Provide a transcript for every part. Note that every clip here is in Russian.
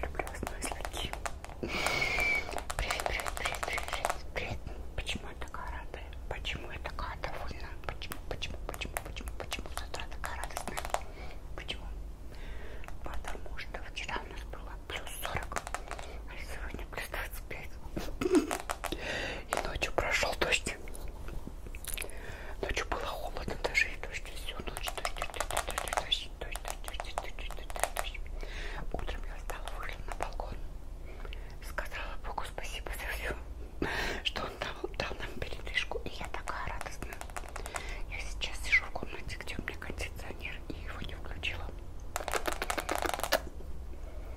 Люблю вас, мои сладкие. Привет, привет, привет, привет, привет. Почему я такая рада? Почему я такая довольна? Почему, почему, почему, почему, почему с утра такая радостная? Почему? Потому что вчера у нас было плюс 40, а сегодня сегодня плюс 25. И ночью прошел дождь. Ночью было холодно, даже и дождь. Всю ночь дождь, дождь, дождь, дождь, дождь, Утром я встала, вышла на балкон. Сказала Богу спасибо за все, что он дал, дал нам передышку. И я такая радостная. Я сейчас сижу в комнате, где у меня кондиционер, и его не включила.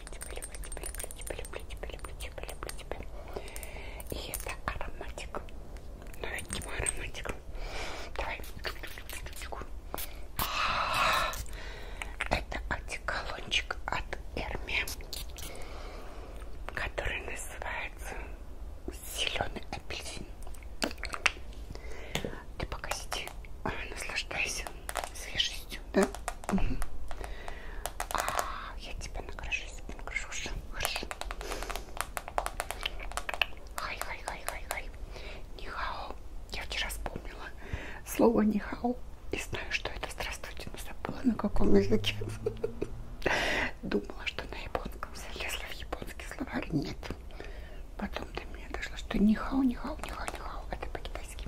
люблю тебя, люблю тебя, люблю тебя, люблю тебя, люблю тебя, люблю тебя. И это ароматик. Но ведь не мой ароматик. Давай. А -а -а. Это антиколончик от Эрми, который называется зеленый апельсин. Ты пока сиди, а, наслаждайся свежестью костюм, да? Угу. А, я тебя накрашу, я тебя накрашу. Хорошо, хорошо. Хай, хай, хай, хай, хай. Нихао. Я вчера вспомнила слово нихао. И знаю, что это здравствуйте, но забыла на каком языке. Думала, что на японском залезла в японский словарь. Нет. Потом до меня дошло, что нихао, нихао, нихао, нихао. Это по-китайски.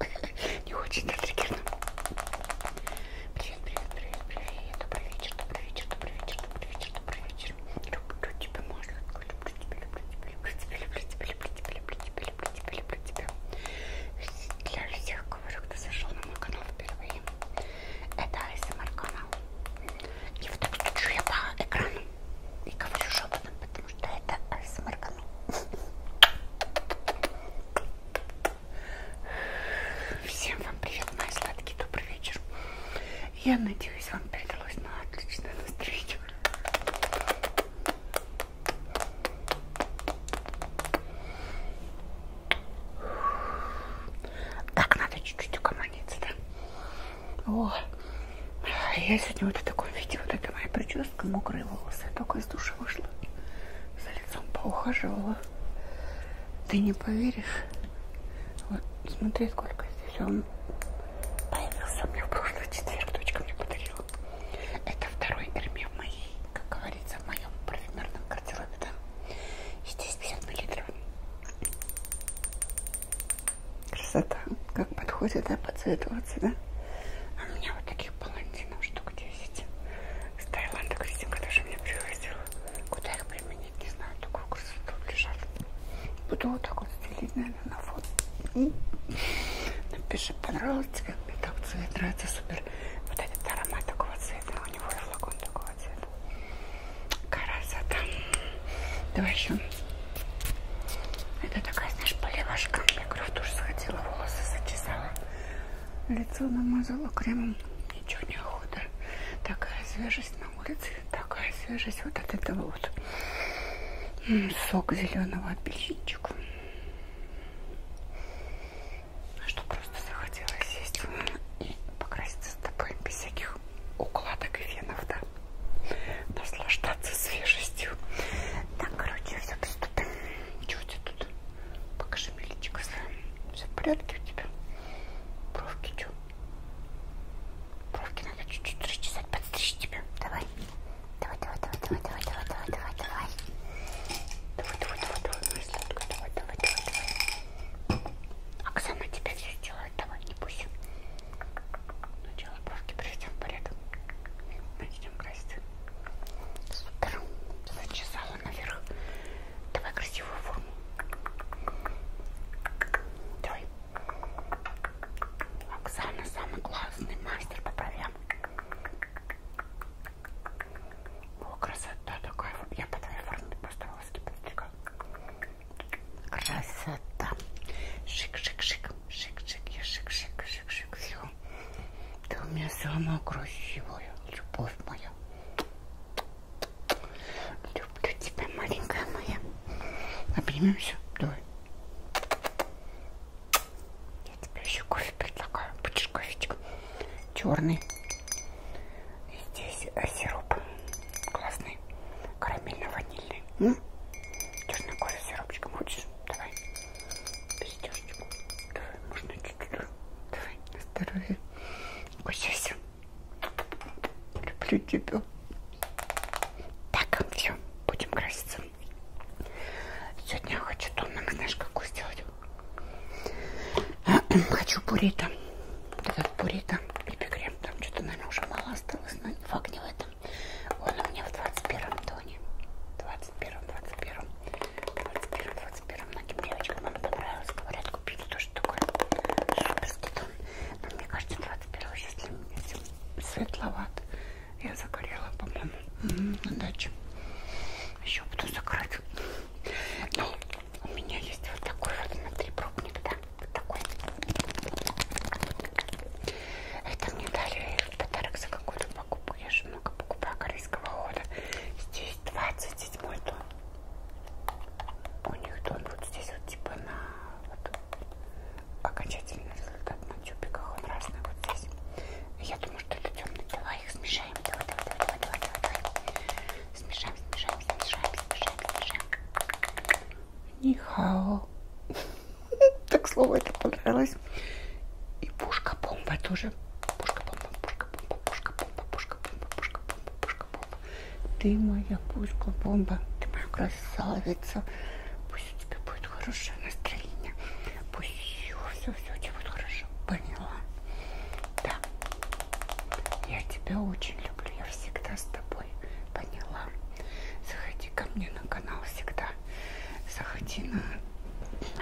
не очень затриггерно. Привет, привет, привет, привет. Добрый вечер, добрый вечер, добрый вечер, добрый вечер, добрый вечер. Люблю тебя, Машенька. Люблю тебя, люблю тебя, люблю тебя, люблю тебя, люблю тебя, люблю тебя, люблю тебя, люблю тебя. Для всех, говорю, кто зашел на мой канал впервые. Это АСМР канал. И вот так стучу я по экрану и говорю шепотом, потому что это АСМР канал. Всем вам привет, мои сладкие, добрый вечер. Я надеюсь, вам передалось на отличное настроение. Так, надо чуть-чуть угомониться, да? О, а я сегодня вот в таком виде, вот это моя прическа, мокрые волосы, только из души вышла за лицом поухаживала. Ты не поверишь. Вот, смотри, сколько здесь он появился мне в прошлый четверг. Дочка мне подарила. Это второй Эрме в моей, как говорится, в моем парфюмерном гардеробе, да? Здесь 50 мл. Красота. Как подходит, да, подсветываться, да? А у меня вот таких палантинов, что штук 10 с Таиланда, Кристинка даже мне привозила. Куда их применить, не знаю, такую красоту лежат. Буду вот так вот стелить, наверное, на фон. Напиши, понравилось тебе, мне так цвет нравится, супер. Вот этот аромат такого цвета, у него и флакон такого цвета. Красота. Давай еще. Это такая, знаешь, поливашка. Я говорю, в душ сходила, волосы зачесала. Лицо намазала кремом. Ничего не охота. Такая свежесть на улице. Такая свежесть вот от этого вот. Сок зеленого апельсинчика. Что просто захотелось сесть и покраситься с тобой без всяких укладок и венов, да? Наслаждаться свежестью. Так, короче, все доступно. Чего у тебя тут? Покажи мне личико свое. Все в порядке у тебя? Бровки что? Бровки надо чуть-чуть расчесать, подстричь тебя. Давай. Давай, давай, давай, давай, давай, давай, давай, давай, давай. Давай, давай, давай, давай, моя сладкая, давай, давай, давай, давай. Оксана тебе все сделает, давай, не пусть. Сначала бровки приведем в порядок. Начнем краситься. Супер. Зачесала наверх. Давай красивую форму. Давай. Оксана самый классный мастер по бровям. О, красота такая. Я по твоей форме просто волоски подстригала. Красота. Шик-шик-шик. Шик-шик. Я шик-шик-шик-шик. Все душу. Ты у меня самая красивая, любовь моя. Люблю тебя, маленькая моя. Обнимемся? Давай. Я тебе еще кофе предлагаю. Будешь кофечек? Черный. И здесь э, сироп классный. Карамельно-ванильный. Черный кофе сиропчиком хочешь? Давай. Без Давай, можно чуть-чуть Давай, на здоровье. Кусайся. Люблю тебя. Так, все, будем краситься. Сегодня я хочу тонномер, знаешь, какую сделать? Хочу буррито. Этот буррито и крем. Там что-то, наверное, уже мало осталось, но факт не в этом. Он у меня в 21-м тоне. 21-м, 21-м, 21-м, 21-м принципе, многим девочкам он понравился. Говорят, купили тоже такой суперский тон. Но мне кажется, 21 числа светловат. Я загорела, по-моему, на даче. Еще буду закрыть. Но ну, у меня есть вот такой вот, смотри, пробник, да? Вот такой. Это мне дали в подарок за какую-то покупаешь, много покупаю корейского хода. Здесь 27 дом. У них дом вот здесь вот типа на вот, окончательный результат на тюбиках. Он разный вот здесь. Я думаю, что это темный. Давай их смешаем. Давай, давай, давай, давай, давай, давай. Смешаем, смешаем, смешаем, смешаем, смешаем. Нихао. Так слово это понравилось. И пушка-бомба тоже пушка, пушка, бомба, пушка, бомба, пушка, бомба, пушка, бомба, пушка, бомба, пушка, бомба. Ты моя пушка, бомба, ты моя красавица. Пусть у тебя будет хорошее настроение. Пусть все, все, все у тебя будет хорошо. Поняла? Да. Я тебя очень люблю. Я всегда с тобой. Поняла? Заходи ко мне на канал всегда. Заходи на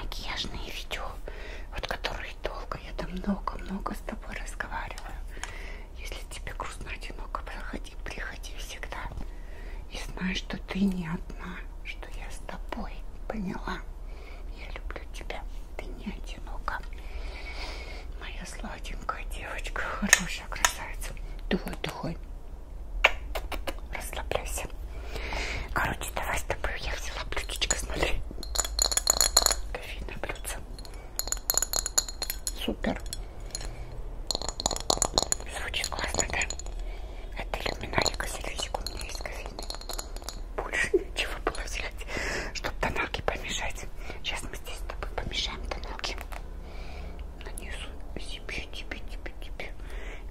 макияжные видео вот которые долго, я там много-много с тобой разговариваю. Если тебе грустно, одиноко, проходи, приходи всегда. И знай, что ты не одна, что я с тобой, поняла? Я люблю тебя, ты не одинока. Моя сладенькая девочка, хорошая красавица. Давай, давай. Расслабляйся вопросе. Короче, давай с тобой я взяла блюдечко, смотри. Кофейное блюдце. Супер. Звучит классно, да? Это иллюминарика, сервисик у меня есть кофейный. Больше ничего было взять, чтобы тоналки помешать. Сейчас мы здесь с тобой помешаем тоналки. Нанесу себе, тебе, тебе, тебе.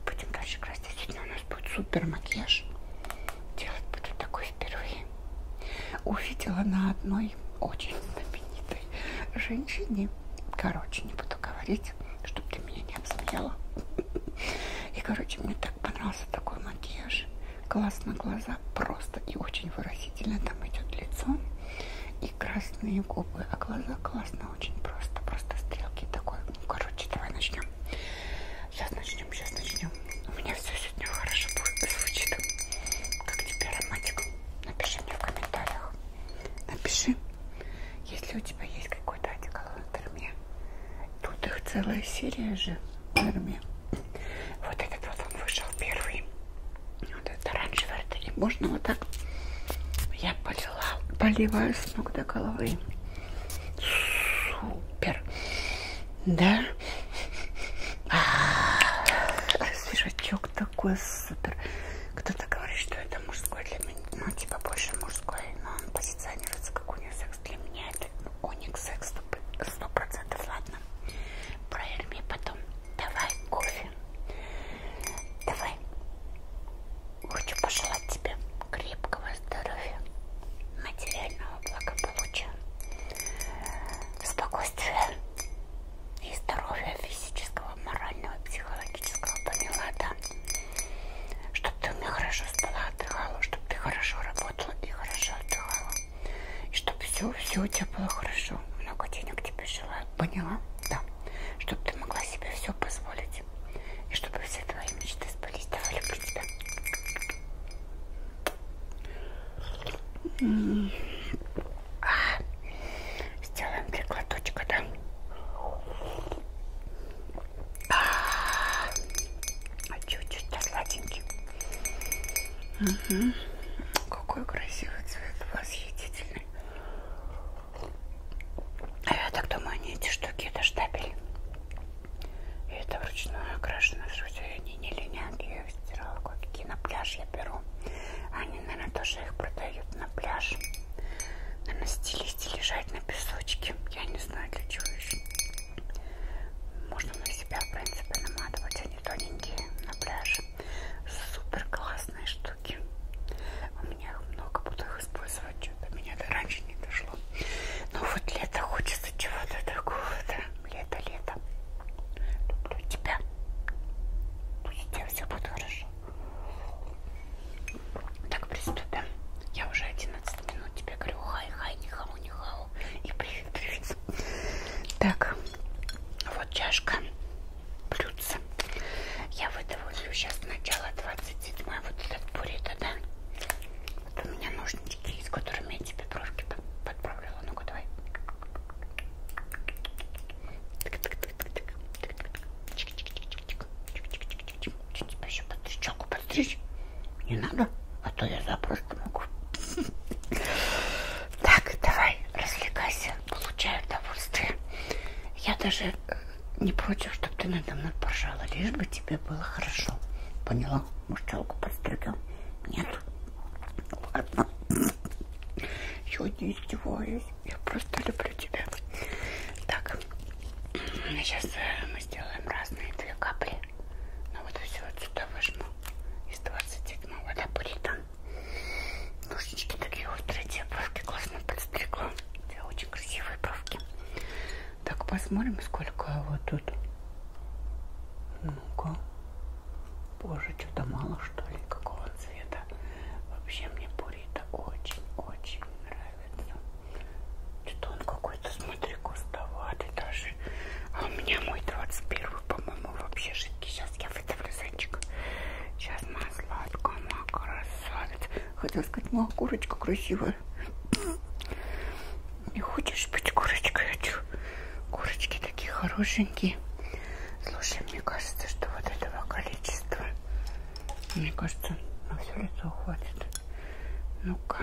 Будем дальше красить. Сегодня у нас будет супер макияж делать буду такой впервые. Увидела на одной очень знаменитой женщине, короче, не буду говорить, чтобы ты меня не обсмеяла. И, короче, мне так понравился такой макияж. Глаз на глаза просто и очень выразительно там идет лицо и красные губы, а глаза классно, очень просто, просто стрелки такой. Ну, короче, давай начнем. Сейчас начнем, сейчас начнем. У меня все сегодня хорошо будет звучит. Как тебе ароматик? Напиши мне в комментариях. Напиши, если у тебя есть какой-то одеколон от Эрме. Тут их целая серия же Эрме. Вот этот вот он вышел первый. Вот это оранжевый. Это можно вот так. Я полила, поливаю с ног до головы супер. Да? А, свежачок такой супер. Кто-то говорит, что это мужской для меня. Ну, типа больше мужской, но он позиционируется как унисекс. Для меня это униксекс 100%, 100%. Ладно. Проверь мне потом. Давай кофе. Давай. Хочу пожелать тебе крепкого душевного здоровья, материального благополучия, спокойствия и здоровья физического, морального, психологического, поняла, да? Чтобы ты у меня хорошо спала, отдыхала, чтобы ты хорошо работала и хорошо отдыхала. И чтобы все, все у тебя было хорошо. Много денег тебе желаю, поняла? Да. Чтобы ты могла себе все позволить мечте. И чтобы все твои мечты сбылись. Давай, люблю тебя. А, сделаем три глоточка, да? А, чуть-чуть, да, сладенький. Угу. Какой красивый цвет восхитительный. А я так думаю, они эти штуки, это штабель. И это вручную окрашено, вроде они не линят, я их стирала кое-какие на пляж я беру. Они, наверное, тоже их продают на пляж. Наверное, стилисти лежать на песочке. Я не знаю, для чего еще. Можно на себя, в принципе, наматывать. Они а тоненькие на пляже. Супер классные штуки. У меня их много, буду их использовать записывать что-то. Меня до раньше не дошло. Но ну вот лето хочется чего-то такого, да? Лето, лето. Люблю тебя. Пусть у тебя все будет хорошо. Так, приступим. Я уже 11 минут тебе говорю хай-хай, не хау, не хау. И привет-привет. Так, вот чашка блюдца. Я выдавлю сейчас начало 27 вот этот буррито, да? Вот у меня ножнички есть, которыми я тебе брошки подправляла. Ну-ка, давай. Что тебя еще подстричь? Челку подстричь? Не надо, а то я запросто могу. Так, давай, развлекайся, получай удовольствие. Я даже не против, чтобы ты надо мной поржала, лишь бы тебе было хорошо. Поняла? что? Мужчалку подстригем? Нет? Ладно. Я не издеваюсь. Я просто люблю тебя. Так. Сейчас э, мы сделаем разные две капли. Ну вот все вот сюда выжму. Из 27 вода будет там. Ножнички такие острые, те бровки классно подстригла. У тебя очень красивые бровки. Так, посмотрим, сколько его тут. Ну-ка. Боже, что-то мало, что ли, какого цвета. Вообще мне Бурита очень-очень нравится. Что-то он какой-то, смотри, густоватый даже. А у меня мой 21 по-моему, вообще жидкий. Сейчас я выставлю зайчик. Сейчас моя сладкая, моя красавица. Хотела сказать, моя ну, курочка красивая такое. Не хочешь быть курочкой? Хочу. Курочки такие хорошенькие. Слушай, мне кажется, что вот этого количества, мне кажется, на все лицо хватит. Ну-ка.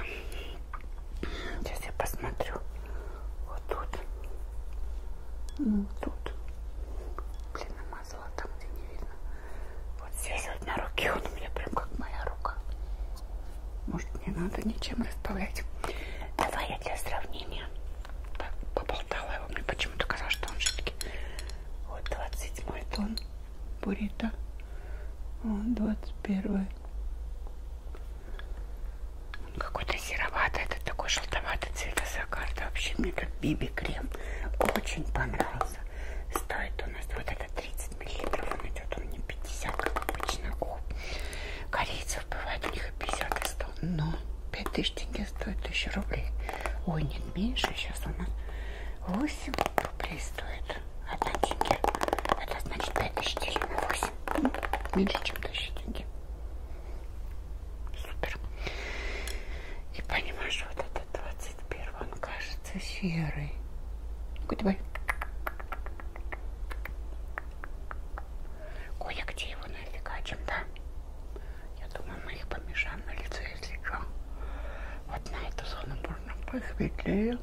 Сейчас я посмотрю. Вот тут. Вот ну, тут. Блин, намазала там, где не видно. Вот здесь вот на руке он у меня прям как моя рука. Может, не надо ничем расставлять. Давай я для сравнения поболтала его. Мне почему-то казалось, что он жидкий. Вот 27-й тон буррито. Вот 21-й. Он какой-то сероватый, это такой желтоватый цвет сакарта. Вообще мне этот биби крем очень понравился. Стоит у нас вот этот 30 миллилитров, он идет, он не 50, как обычно у корейцев бывает, у них 50 и 100, но 5000 тенге стоит 1000 рублей, ой, нет, меньше, сейчас у нас 8 рублей стоит 1 тенге, это значит 5000 делим на 8, ну, меньше, чем 1000 тенге. Супер. И понимаешь, вот это 21 Серый, он кажется серый. Какой твой? Коля, где его нафигачим, а да? Я думаю, мы их помешаем на лицо, если что. Вот на эту зону можно посветлее.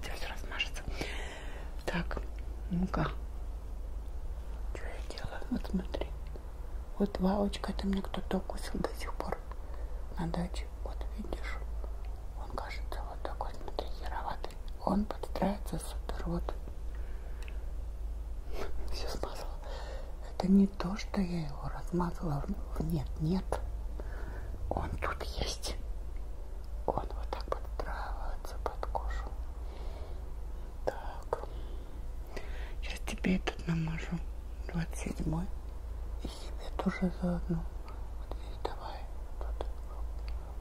Здесь размажется. Так, ну-ка. Что я делаю? Вот смотри. Вот два очка, это мне кто-то укусил до сих пор на даче, вот видишь, он кажется вот такой, смотри, яроватый. Он подстраивается супер, вот. Все смазала. Это не то, что я его размазала. Нет, нет. Он тут есть. Он вот так подстраивается под кожу. Так. Сейчас тебе этот намажу. 27-й и себе тоже заодно. Вот здесь давай. Вот,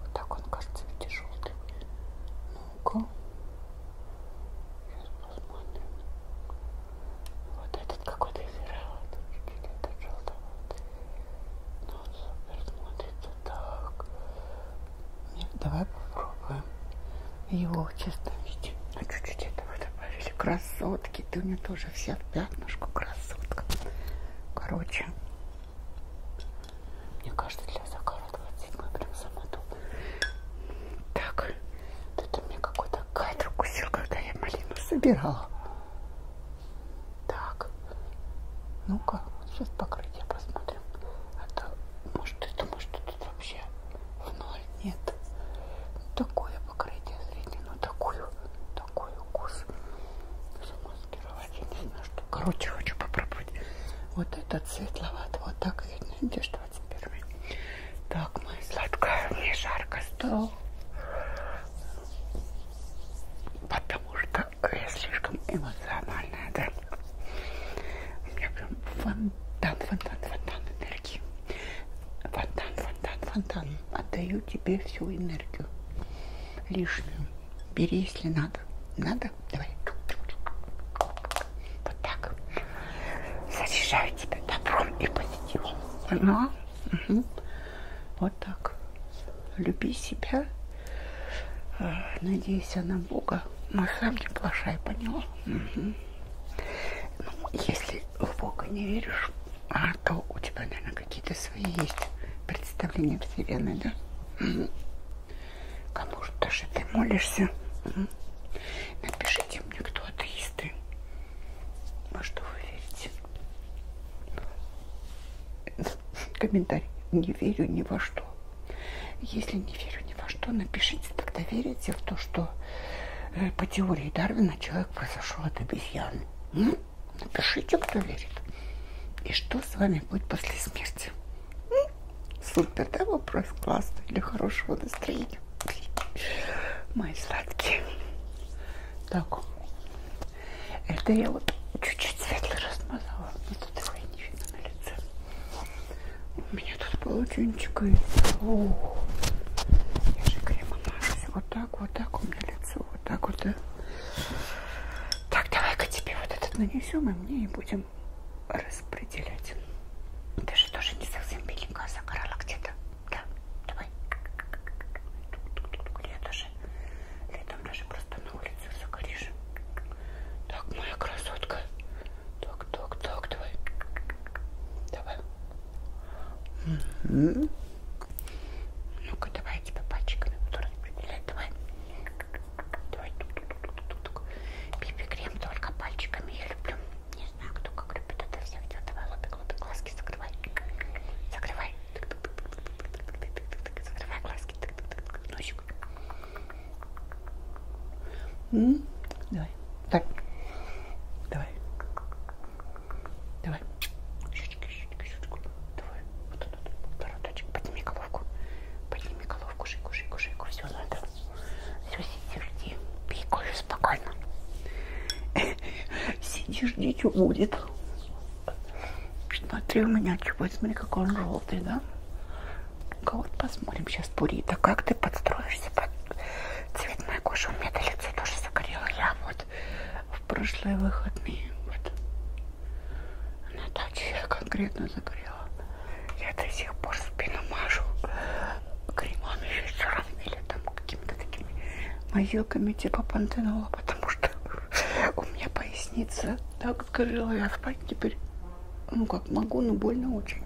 вот так он кажется, видите, желтый. Ну-ка. Сейчас посмотрим. Вот этот какой-то изираловый. Чуть-чуть этот желтоватый. Но ну, он супер смотрится так. Нет, давай попробуем его в чистом виде. А чуть-чуть этого добавили. Красотки. Леночки, ты у меня тоже вся в пятнышку, красотка. Короче, мне кажется, для Захара 27 прям самоту. Так, это мне какой-то кайт укусил, когда я малину собирала. Так, ну-ка, сейчас покрытие посмотрим. А то, может, это, может, тут вообще в ноль нет. Такое покрытие зрение, но ну, такую такой укус замаскировать, я не знаю, что. Короче, хочу попробовать. Вот этот светловат, вот так видно. Видишь, 21 Так, моя сладкая, мне жарко стало. Потому что я слишком эмоциональная, да? У меня прям фонтан, фонтан, фонтан энергии. Фонтан, фонтан, фонтан. Отдаю тебе всю энергию лишнюю. Бери, если надо. Надо? Давай. Вот так. Заряжаю тебя добром и позитивом. Ну, угу. вот так. Люби себя. А, Надейся на Бога. Но сам не плашай, поняла? Угу. Ну, если в Бога не веришь, а то у тебя, наверное, какие-то свои есть представления о Вселенной, да? Угу. Кому же даже ты молишься? Угу. Напишите мне, кто атеисты. Во что вы верите? Комментарий. Не верю ни во что. Если не верю ни во что, напишите, тогда верите в то, что э, по теории Дарвина человек произошел от обезьяны. М? Напишите, кто верит. И что с вами будет после смерти? Супер, да, вопрос классный для хорошего настроения. Мои сладкие. Так, это я вот чуть-чуть светло размазала, но тут его и не видно на лице. У меня тут полотенчик и... О, я же кремом мажусь вот так, вот так у меня лицо, вот так вот. Да? Так, давай-ка тебе вот этот нанесем, и мне и будем распределять. Ты же тоже не совсем беленькая загорала где-то. Да, давай. Я даже летом даже просто на улице загоришь. Так, моя красотка. Так, так, так, давай. Давай. Mm -hmm. Ну-ка, давай я тебя пальчиками буду распределять. Давай. Давай. Пипи-крем только пальчиками я люблю. Не знаю, кто как любит это всех. Давай, лобик, лобик, глазки закрывай. Закрывай. Закрывай глазки. Носик. Давай. Так. Давай. Давай. Щечки, щечки, щечку. Давай. Вот он, бородочек. Подними головку. Подними головку, шейку, шейку, шейку. Все надо. Все, сиди, жди. Пей кофе спокойно. Сиди, жди, что будет. Смотри у меня, чего, смотри, какой он желтый, да? Ну-ка вот посмотрим сейчас, Пурита, как ты подстроишься под цвет моей кожи. У меня лицо тоже загорело. Я вот в прошлые выходные. Вот. На даче я конкретно загорела. Я до сих пор спину мажу кремом или сыром, или там какими-то такими мазилками типа пантенола, потому что у меня поясница так сгорела, я спать теперь, ну как могу, но больно очень.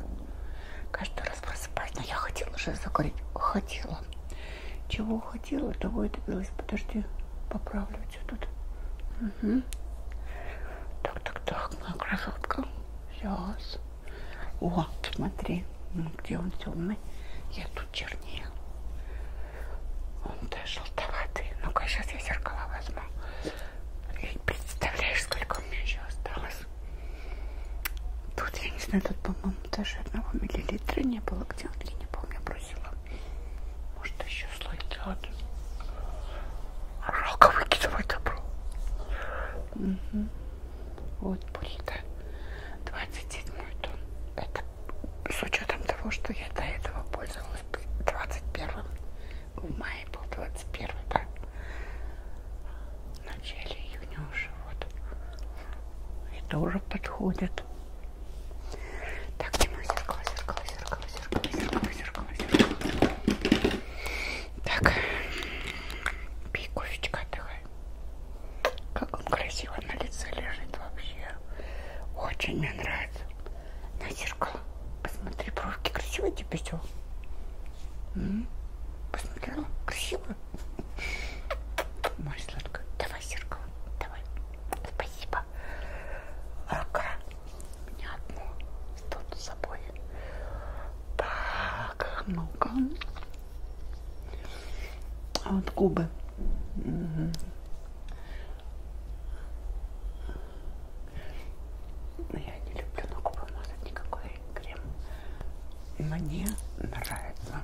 Каждый раз просыпаюсь, но я хотела же закурить, хотела. Чего хотела, того и добилась. Подожди, поправлю тебя тут. Угу. Так, так, так, моя красотка. Сейчас. О, смотри, ну, где он темный. Я тут чернее. Он даже желтоватый. Ну-ка, сейчас я зеркало возьму. И представляешь, сколько у меня еще осталось. Тут, я не знаю, тут, по-моему, по-моему, даже одного миллилитра не было. Где он? Я не помню, бросила. Может, еще слой делать. Жалко выкидывать добро. Угу. Вот бурито. 27 тон. Это с учетом того, что я до этого пользовалась 21 в мае был 21 да? В начале июня уже вот. Это уже подходит. Так, где мое зеркало, зеркало, зеркало, зеркало, зеркало, зеркало, зеркало. Так, пей кофечка, отдыхай. Как он красиво на лице лежит вообще. Очень мне нравится. На зеркало. Посмотри, бровки красиво тебе все. Посмотрела? Красиво? Масленка, давай зеркало, давай. Спасибо. Рука. Не одну. Тут с собой. Так, ну-ка. А вот губы. Угу. Я не люблю на губы мазать никакой крем. Мне нравится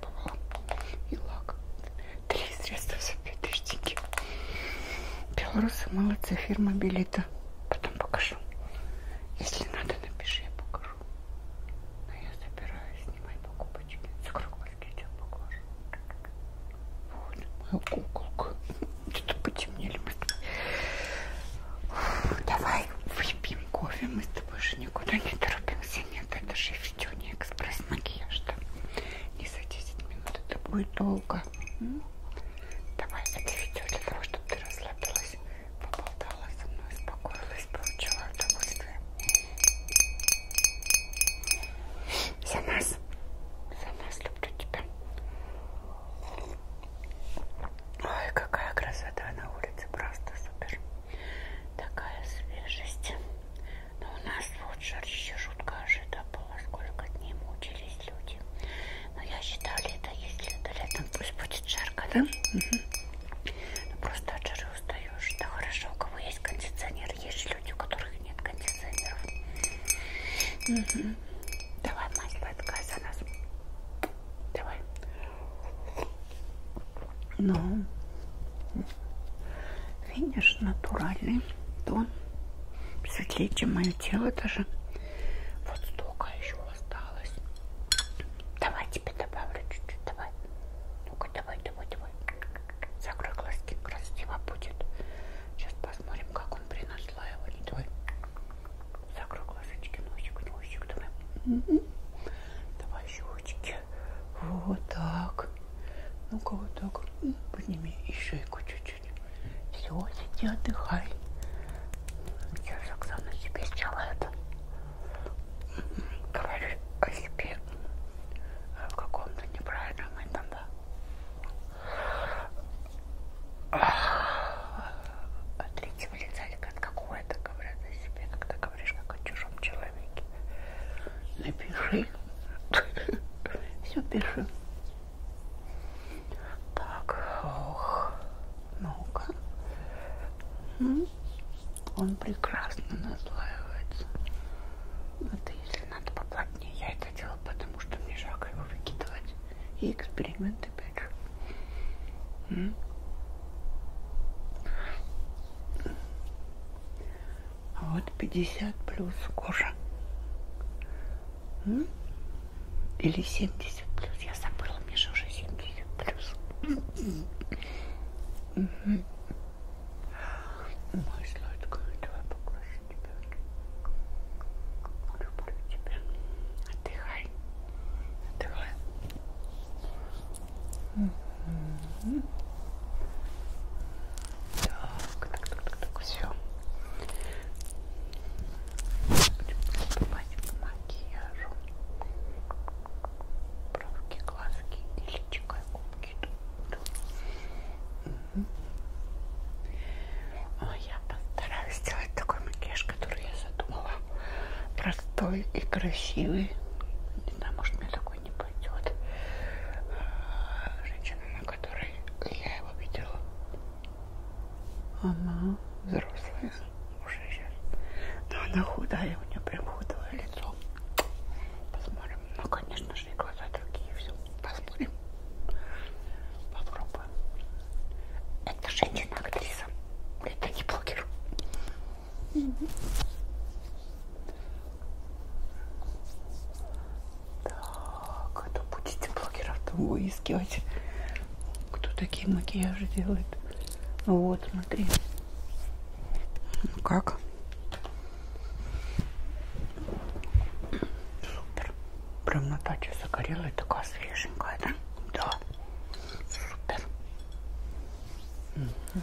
пробовала. И лак. Три средства за 5000 тенге. Белорусы молодцы, фирма Белита. Потом покажу. Если надо, напиши, я покажу. Но я собираюсь снимать покупочки. С круглости я покажу. Вот ну, моя куколка. Что-то потемнели мы с тобой. Давай выпьем кофе. Мы с тобой же никуда не торопимся нет, это же видео не экспресс-макияж, там не за 10 минут, это будет долго. М? Давай, это видео для того, чтобы ты расслабилась, поболтала со мной, успокоилась, получила удовольствие. За нас, за нас люблю тебя. Ой, какая красота на улице, просто супер такая свежесть. Но у нас вот жарище жуткая жида была, сколько дней мучились люди. Но я считаю, лето, если это летом, пусть будет жарко, да? Угу. Ну, просто от жары устаешь. Да хорошо, у кого есть кондиционер, есть же люди, у которых нет кондиционеров. Угу. Давай, мать, твой отказ за нас. Давай. Но ну, видишь, натуральный тон. Светлее, чем мое тело даже. Вот столько еще осталось. Давай тебе добавлю чуть-чуть. Давай. Ну-ка, давай, давай, давай. Закрой глазки, красиво будет. Сейчас посмотрим, как он при наслаивании. Давай. Закрой глазочки, носик, носик, давай. М-м-м. Давай еще ручки. Вот так. Ну-ка вот так. Подними еще и чуть-чуть. Все, сиди, отдыхай. Сейчас Оксана себе сделает. Говорю о себе в каком-то неправильном этом, да. От третьего лица или от какого это говорят о себе, когда говоришь как о чужом человеке напиши. Все пиши. Так, ох, ну-ка. Он прекрасно наслаивается. Это если надо поплотнее, я это делала, потому что мне жалко его выкидывать. И эксперимент опять же. А вот 50 плюс кожа. М? Или 70 плюс. Я забыла, мне же уже 70 плюс. Угу. Мой сладкий, давай поглажу тебя. Люблю тебя. Отдыхай. Отдыхай. Так, так, так, так, все. Приступать к макияжу. Правки, глазки и личико, и губки тут. Угу. Я постараюсь сделать такой макияж, который я задумала. Простой и красивый. Не знаю, может мне такой не идет а, женщина, на которой я его видела. Она взрослая уже сейчас. Но она худая, у нее прям худое лицо. Посмотрим. Ну, конечно же, и глаза другие, все. Посмотрим. Попробуем. Это женщина-актриса. Это не блогер. Так, это будете блогеров-то выискивать. Кто такие макияжи делает? Вот, смотри. Ну как? Супер. Прям Наталья загорелая, такая свеженькая, да? Да. Супер. Угу.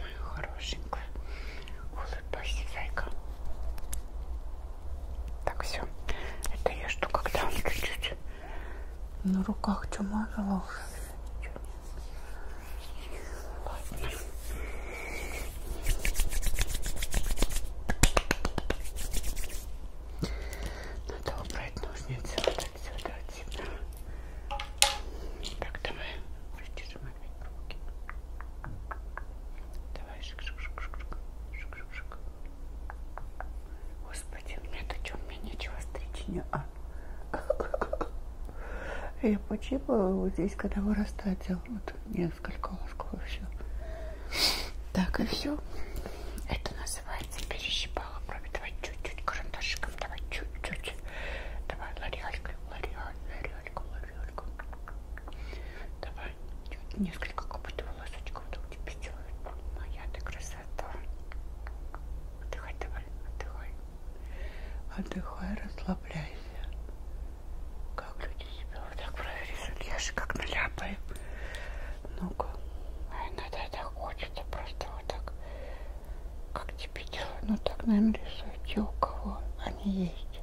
Моя хорошенькая. Улыбайся, зайка. Так, все. Это я жду, когда он чуть-чуть на руках чумазала уже. Ладно. Надо убрать ножницы вот отсюда, отсюда. Так, давай, вытяжем опять руки. Давай, шик-шик-шик-шик. Шик-шик-шик. Господи, мне-то что, мне нечего стричь, не а? Я почипала вот здесь, когда вырастает, вот несколько лосков и все. Так, и все. Это называется пальцы перещипала, кроме давай чуть-чуть карандашиком, давай чуть-чуть. Давай лореалькой, лореаль, лореальку, лореальку. Давай чуть несколько какой-то волосочков, да у тебя делают. Моя ты красота. Отдыхай, давай, отдыхай. Отдыхай, расслабляйся. Как люди себя вот так прорезали, я же как наляпаю. Ну-ка. Иногда так хочется просто вот так как тебе делать? Ну так, наверное, рисуют те, у кого они есть.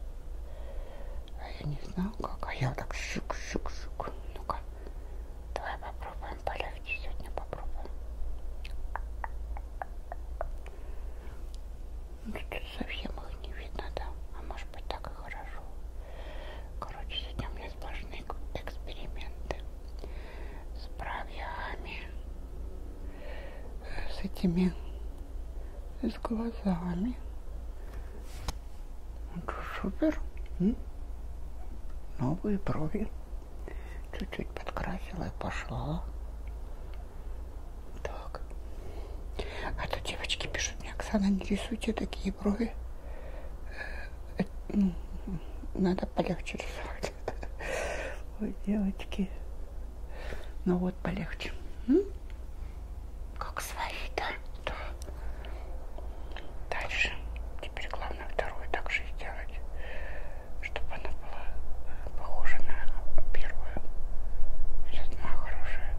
А я не знаю как, а я вот так щук-щук-щук. Ну-ка, давай попробуем полегче сегодня, попробуем. Ну, тут совсем их не видно, да? А может быть так и хорошо. Короче, сегодня у меня сплошные эксперименты с бровями, с этими, с глазами. Это супер. М? Новые брови. Чуть-чуть подкрасила и пошла. Так. А то девочки пишут мне, Оксана, не рисуйте такие брови. Э, э, ну, надо полегче рисовать. Ой, девочки. Ну вот, полегче. М? Как свои, да? да? Дальше. Теперь главное вторую так же сделать, чтобы она была э, похожа на первую. Сейчас одна хорошая.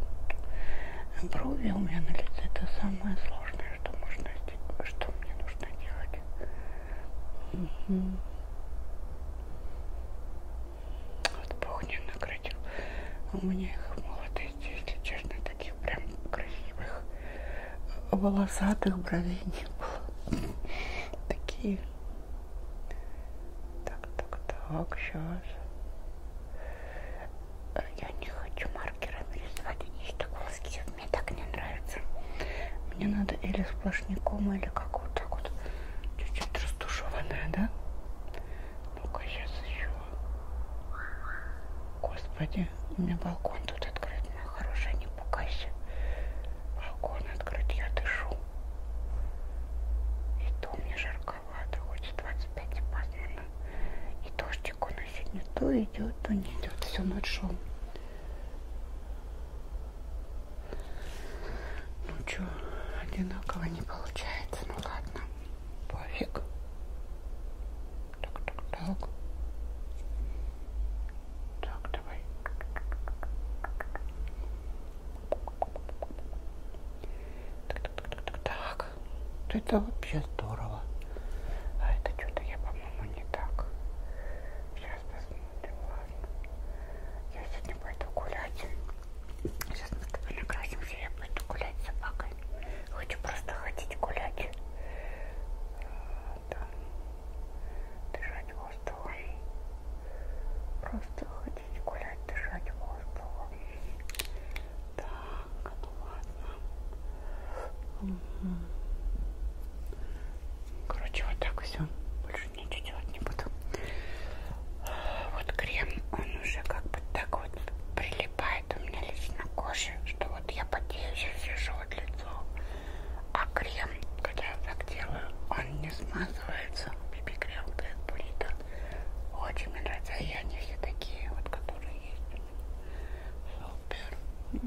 Брови у меня на лице это самое сложное знаю, что можно сделать, что мне нужно делать. Угу. Вот Бог не наградил. У меня их в молодости, если честно, таких прям красивых волосатых бровей не было. Такие. Так, так, так, сейчас. Я не хочу маркерами рисовать, они так волоски мне так не нравится. Мне надо или сплошняком, или как вот так вот. Чуть-чуть растушеванная, да? Ну-ка, сейчас еще. Господи, у меня балкон тут открыт. Моя хорошая, не пугайся. Балкон открыт, я дышу. И то мне жарковато, хоть 25 и пасмурно. И дождик у нас сегодня то идет, то не идет. Всю ночь шел. Ну что, одинаково не получается. Ну ладно, пофиг. Так, так, так. Так, давай. Так, так, так, так, так. Это вообще здорово. А это что-то я, по-моему, не так. Сейчас посмотрим, ладно. Я сегодня пойду гулять. Сейчас мы с тобой накрасимся, я пойду гулять с собакой. Хочу просто ходить гулять. А, там дышать воздухом. Просто ходить гулять, дышать воздухом. Так, ну ладно. Короче, вот так все. Больше ничего делать не буду. Вот крем, он уже как бы так вот прилипает у меня лично к коже, что вот я потею, сейчас вижу вот лицо. А крем, когда я так делаю, он не смазывается. Биби-крем Black Burrito. Очень мне нравится. А я не все такие, вот которые есть. Супер.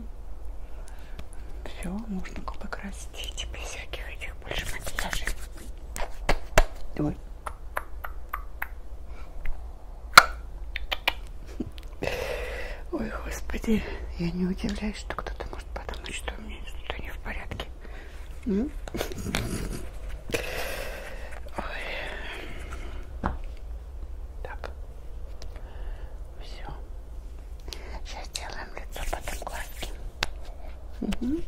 Все, можно губы красить без всяких этих больше макияжей. Давай. Ой, господи, я не удивляюсь, что кто-то может подумать, что у меня что-то не в порядке. М? Ой. Так. Все. Сейчас делаем лицо, потом глазки. Угу.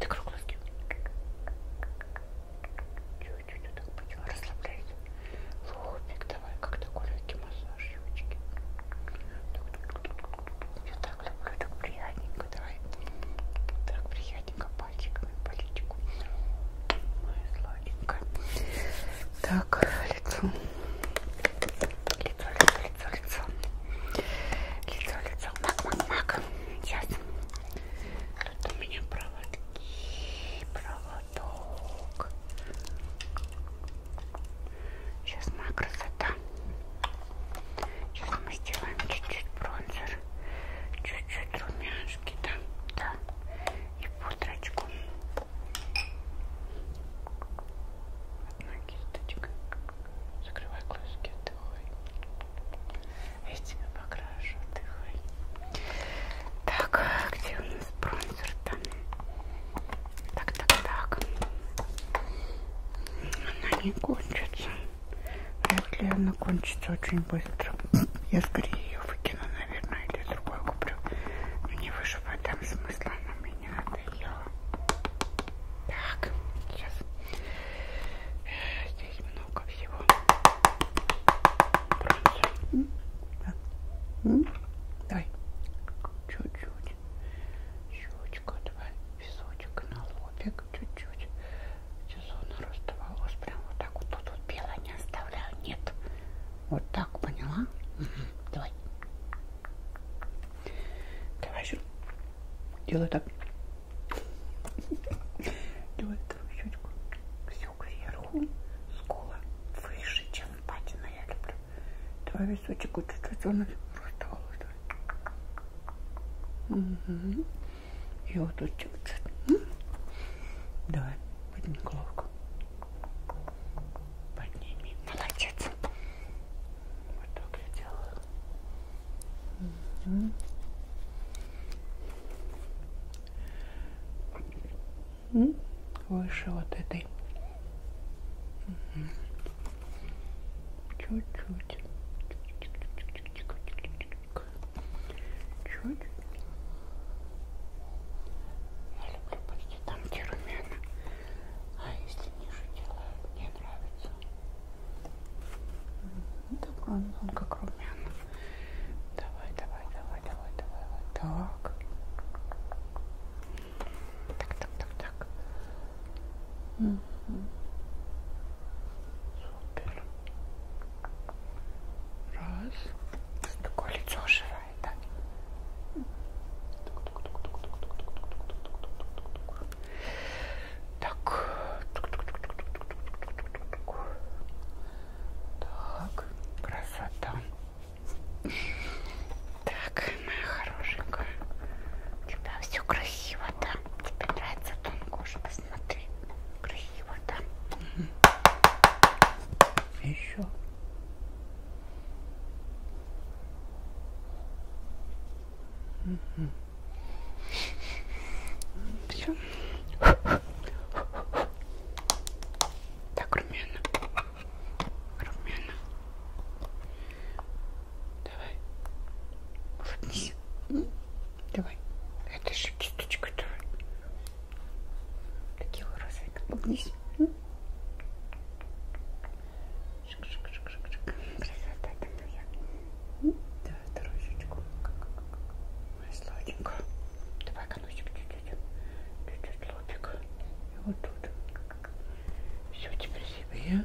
Ты круглоски. Чуть-чуть вот так почему расслабляйте. Лобик давай, как такой легкий массаж, девочки. Я так люблю, так приятненько, давай. Так приятненько пальчик свою политику. Моя сладенькая. Так, лицо. Лицо, лицо, лицо, лицо. Лицо, лицо. Мак, мак, мак. Сейчас. Тут у меня проводки. Проводок. Сейчас моя красота. Сейчас мы сделаем чуть-чуть бронзер, чуть-чуть румяшки, да, да и пудрочку. Одна кисточка. Закрывай глазки, отдыхай. Я тебя покрашу, отдыхай. Так, где у нас бронзер там? Так, так, так. Она не кончится. Вряд ли она кончится очень быстро. Я скорее ее выкину. Кукину, наверное, или другой куплю. Но не вижу в этом смысла, она мне не надоела. Так, сейчас. Э, здесь много всего. Бронзы. Да. Давай. Чуть-чуть. Щечка, давай. Песочек на лобик. Чуть-чуть частью зоны роста волос. Прям вот так вот тут вот белое не оставляю. Нет. Вот так, поняла? Угу. Давай. Давай еще. Делай так. Давай вторую щечку. Все кверху. Скула выше, чем патина. Я люблю. Давай височек чуть-чуть зоны роста волос. Угу. И вот тут чуть-чуть. Давай. Подними головку. Подними. Молодец. Вот так я делаю. Mm -hmm. Mm -hmm. Выше вот этой. Чуть-чуть. Mm -hmm чуть-чуть. Чуть. Я люблю почти там, где румяна. А если ниже делаю, мне нравится. Да, ну, он, он как румяна. Давай, давай, давай, давай, давай. Вот так. Так, так, так, так. Угу. Супер. Раз. Такое лицо оживает, да? Так. Так. Красота. Так, моя хорошенькая. У тебя все красиво, да? Тебе нравится тон кожи, посмотри. Красиво. И вот там. Угу. Еще. Угу. Все. Так, румяна. Румяна. Давай. Улыбнись. Давай. Это же кисточка, давай. Такие розовые, как поглись. Шик-шик-шик-шик-шик. Красота такая. Да, вторую щечку. Моя сладенькая. Давай конусик чуть-чуть. Чуть-чуть лобик. И вот тут. Все теперь себе.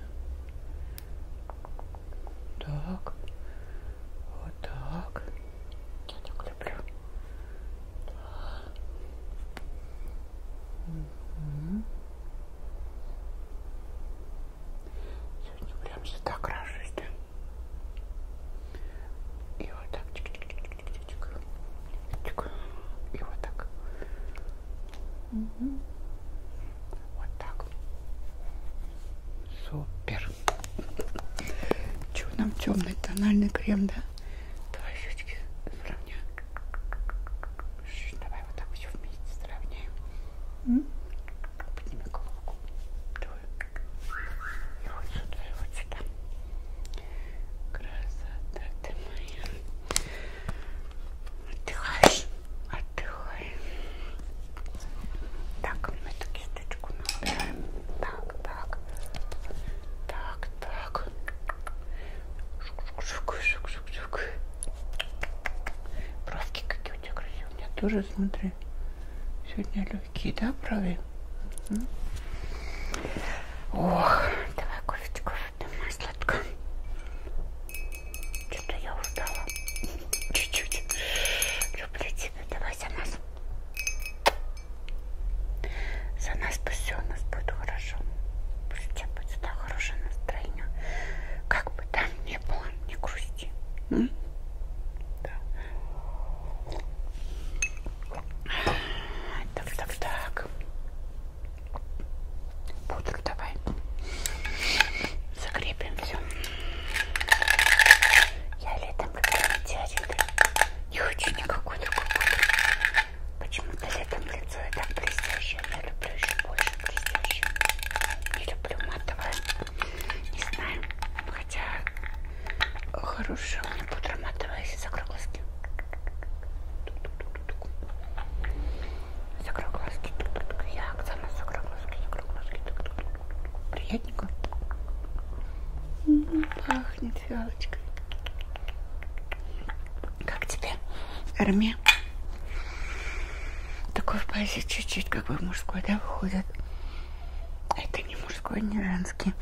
Так. Вот так. Я так люблю. Сегодня прям сюда крашусь, да? И вот так. И вот так. Угу. Вот так. Супер. Че нам темный тональный крем, да? Давай щечки сравняем. Давай вот так все вместе сравняем. М? Подними головку. Давай. И вот сюда, и вот сюда. Красота ты моя. Отдыхаешь? Отдыхай. Так, мы такие кисточку набираем. Так, так. Так, так. Шук, шук, шук, шук. Правки какие у тебя красивые. У меня тоже, смотри, сегодня легкие, да, брови? Угу. Ох, давай кофечку выпьем, сладко. Что-то я устала. Чуть-чуть. Люблю тебя, давай. Давай за нас. За нас пусть все у нас будет хорошо. Пусть у тебя будет всегда хорошее настроение. Как бы там ни было, не грусти. М? Да. Так, так, так. Пудру давай. Закрепим все. Я летом, когда метеориты не хочу никакой другой пудры. Почему-то летом лицо и так блестящее. Я люблю еще больше блестящее. Не люблю матовое. Не знаю. Хотя хорошая у меня пудра матовая, если закрою глазки. Закрою глазки. Я Оксана закрою глазки. Закрою глазки. Приятненько. Пахнет фиалочкой. Как тебе, Арме? Такой в позе чуть-чуть как бы мужской, да, выходит. Это не мужской, не женский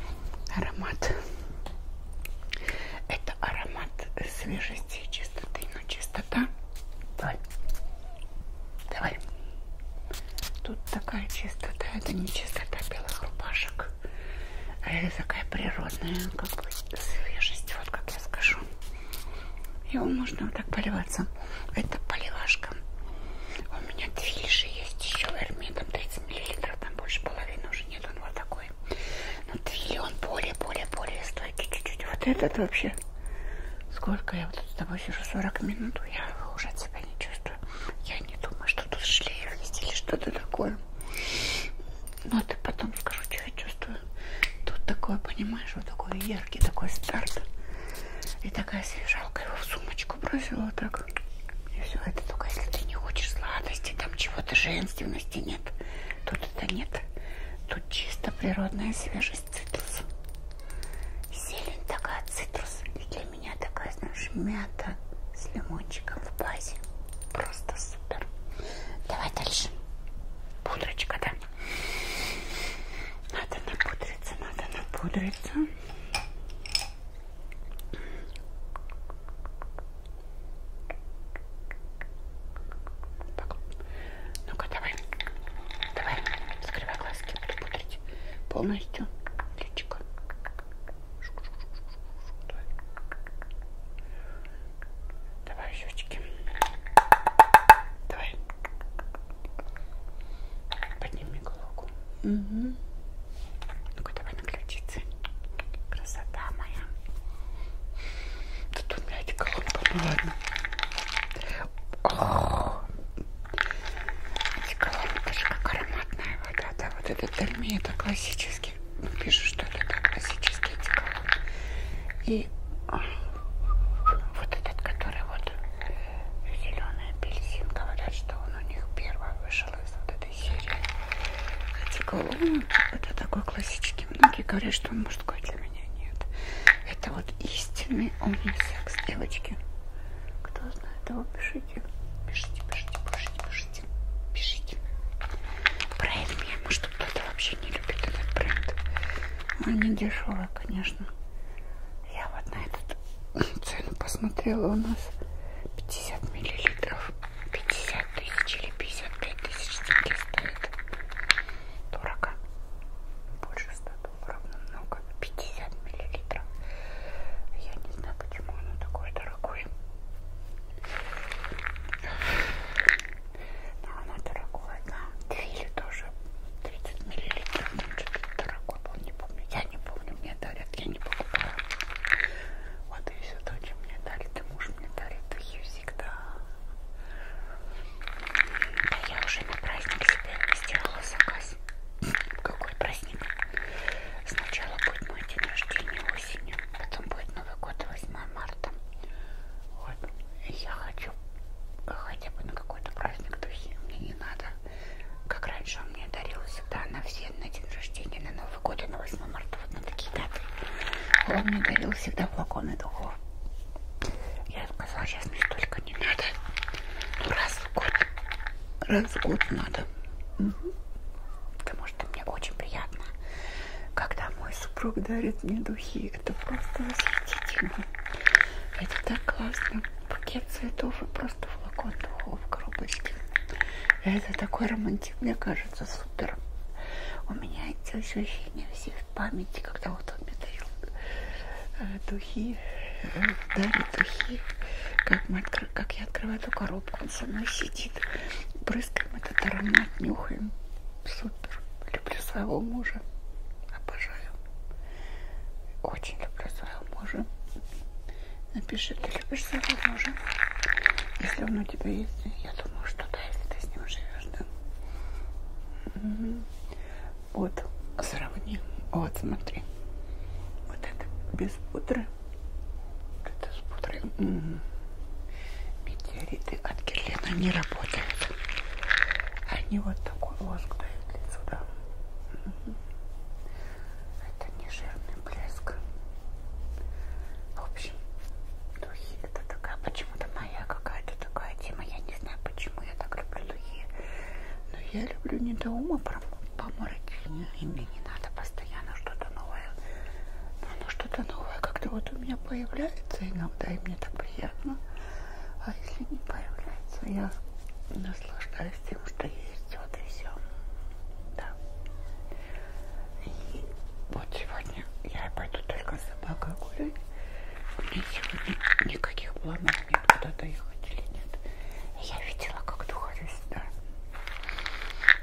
аромат. Это аромат свежести и чистоты. Но чистота. Давай. Давай. Тут такая чистота, это не чистота белых рубашек, а это такая природная, как бы свежесть, вот как я скажу. Его можно вот так поливаться. Это поливашка. У меня две лиши есть еще Эрми, там 30 миллилитров, там больше половины уже нет, он вот такой. Но твили он более-более-более стойкий чуть-чуть. Вот этот вообще, сколько я вот с тобой сижу, 40 минут, я уже от себя не чувствую. Питера. Я не думаю, что тут шлейф есть или что-то такое. Но ты потом скажу, что я чувствую. Тут такое, понимаешь, вот такой яркий такой старт. И такая свежалка его в сумочку бросила вот так. И все, это только если ты не хочешь сладости, там чего-то женственности нет. Тут это нет. Тут чисто природная свежесть цитрус. Зелень такая цитрус. И для у меня такая, знаешь, мята с лимончиком в базе. Просто супер. Давай дальше. Пудрочка, да? Надо напудриться, надо напудриться. Ну-ка, давай. Давай, закрывай глазки, буду пудрить полностью личико. Давай, щечки. Давай. Подними голову. Угу. Ну-ка, давай на ключице. Красота моя. Тут у меня эти колонки. Ну ладно. О -о -о. Эти колонки же как ароматная вода, да, вот этот термин это классический, ну, пишут, что это да, классический этиколон. И а, вот этот, который вот э, зеленый апельсин, говорят, что он у них первый вышел из вот этой серии. Этиколон, это такой классический, многие говорят, что он мужской для меня нет. Это вот истинный унисекс, девочки. Кто знает, его а пишите пишите. Пишите, пишите, пишите, пишите. Пишите. Бренд, я, может, кто-то вообще не любит этот бренд. Он не дешевый, конечно. Я вот на этот цену посмотрела у нас 50 миллилитров. 50 тысяч или 55 тысяч деньги стоит. Дорого. Больше 100 долларов намного. 50 миллилитров. Я не знаю, почему оно такое дорогое. Но оно дорогое, да. Фили тоже 30 миллилитров, там что-то дорогое был, не помню. Я не помню, мне дарят, я не покупаю. Вот и все то, чем мне дарит, и муж мне дарит их всегда. Да я уже на праздник себе сделала заказ раз. Какой праздник? Сначала будет мой день рождения осенью, потом будет Новый год 8 марта. Вот. И я хочу хотя бы на какой-то праздник, то есть мне не надо. Как раньше он мне дарил всегда на все, на день рождения, на Новый год и на 8 марта, вот на такие даты. Он мне дарил всегда флаконы духов. Я сказала, сейчас мне столько не надо. Ну, раз в год. Раз в год надо. Угу. Потому что мне очень приятно, когда мой супруг дарит мне духи. Это просто восхитительно. Это так классно. Пакет цветов и просто флакон духов в коробочке. Это такой романтик, мне кажется, супер. У меня эти ощущения все в памяти, когда вот он мне дарил э, духи, э, дарит духи, как мать откры... как я открываю эту коробку, он со мной сидит. Брызгаем этот аромат, нюхаем. Супер. Люблю своего мужа. Обожаю. Очень люблю своего мужа. Напиши, ты любишь своего мужа? Если он у тебя есть, я думаю, что да, если ты с ним живешь, да. Угу. Вот, сравни. Вот, смотри. Вот это без пудры. Это смотрим. Метеориты от Герлена не работают. Они вот такой воск дают лицу, да. Это не жирный блеск. В общем, духи это такая почему-то моя какая-то такая тема. Я не знаю, почему я так люблю духи. Но я люблю не до ума промышленность поморочнее, и мне не надо постоянно что-то новое. Но оно что-то новое как-то вот у меня появляется иногда, и мне так приятно. А если не появляется, я наслаждаюсь тем, что есть, вот и все. Да. И вот сегодня я пойду только с собакой гулять. У меня сегодня никаких планов нет, куда-то ехать или нет я видела, как доходит сюда.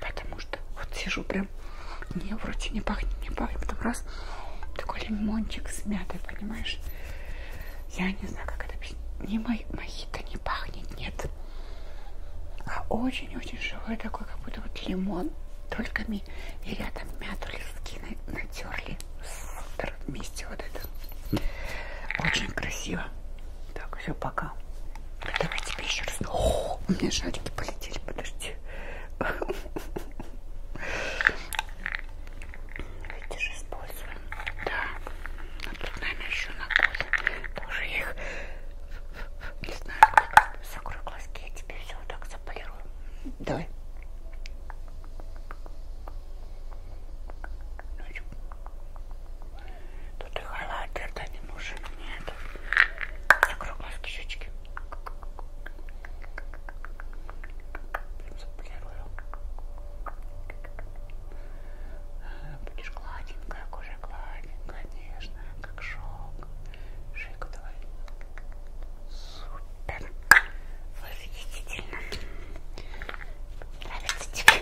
Потому что вот сижу прям, не, вроде не пахнет, не пахнет. Потом раз такой лимончик с мятой, понимаешь? Я не знаю, как это объяснить. Не мои, мои-то не пахнет, нет. А очень-очень живой такой, как будто вот лимон. Только ми и рядом мяту листки на, натерли вместе вот это. Очень красиво. Так, все, пока. Ну, давай тебе еще раз. О, у меня шарики полетели, подожди. Видишь, используем. Да. А тут нами еще на кофе. Тоже я их не знаю, как закрою глазки, я тебе все вот так заполирую. Давай. Тут и халат, это не нужен мне это. Закрой глазки, щечки. Заполирую. Э, будешь гладенькая, кожа гладенькая, нежная, как шелк. Шейку давай. Супер. Восхитительно. Нравится тебе?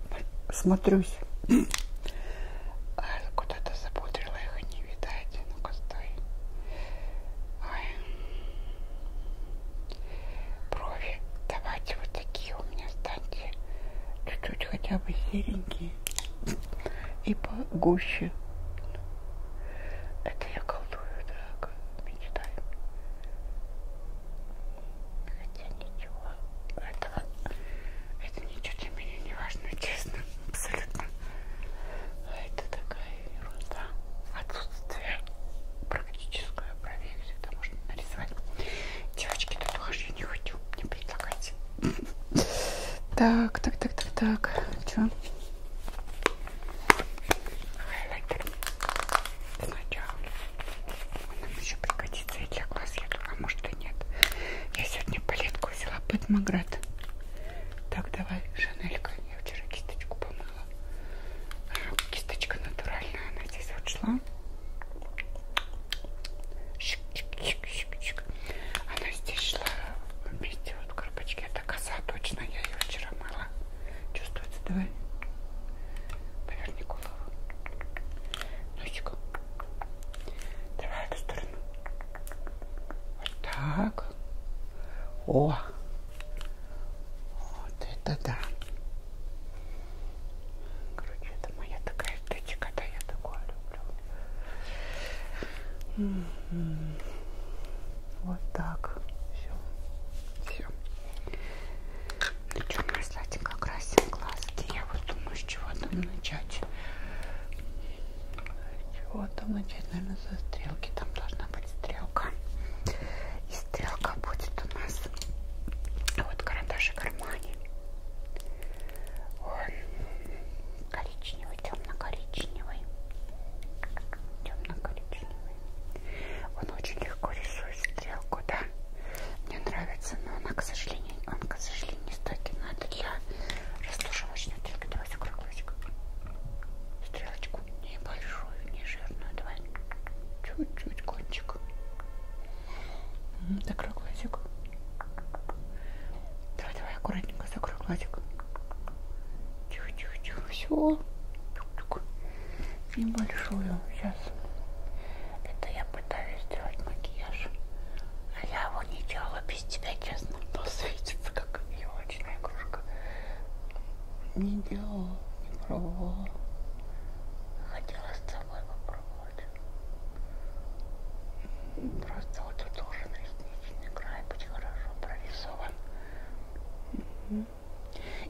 смотрюсь. Куда-то запудрила их и не видать. Ну-ка, стой. Ой. Брови. Давайте вот такие у меня станьте. Чуть-чуть хотя бы серенькие. И погуще. Это я колдую, дорогая. Мечтаю. Хотя ничего. Этого это ничего для меня не важно, честно, абсолютно. А это такая ерунда. Отсутствие практическое проверки всегда можно нарисовать. Девочки, татуаж я не хочу, не предлагайте. Так, так, так, так, так. Че? Хайлайтер. Сначала. Ой, нам еще пригодится и для глаз, я думаю, а может и нет. Я сегодня палетку взяла под Маград. Так, давай, Шанелька. Я вчера кисточку помыла. Кисточка натуральная, она здесь вот шла. Шик, шик, шик, шик, шик. Она здесь шла вместе вот в коробочке. Это коса точно, я ее вчера мыла. Чувствуется, давай. Поверни голову. Носиком. Давай эту сторону. Вот так. О! Вот это да. Короче, это моя такая эстетика, да, я такое люблю. Вот так. Все. Все. На чем наслать как красим глазки? Я вот думаю, с чего там начать. Чего там начать? Наверное, со стрелки. Там должна быть стрелка. И стрелка будет у нас. Вот карандаш кармане. Он коричневый, темно-коричневый. Темно-коричневый. Он очень легко рисует стрелку, да? мне нравится, но она, к сожалению, он, к сожалению, не стойкий, но это для расслушивочной только давай закрой глазик. Стрелочку небольшую, не жирную, давай чуть-чуть кончик. Закрой глазик. Давай, давай, аккуратненько закрой глазик. Тихо-тихо-тихо, все. Небольшую, сейчас. Это я пытаюсь сделать макияж. А я его не делала без тебя, честно. Посветится, как елочная игрушка. Не делала, не пробовала. Хотела с тобой попробовать. Просто вот тут должен ресничный край быть хорошо прорисован.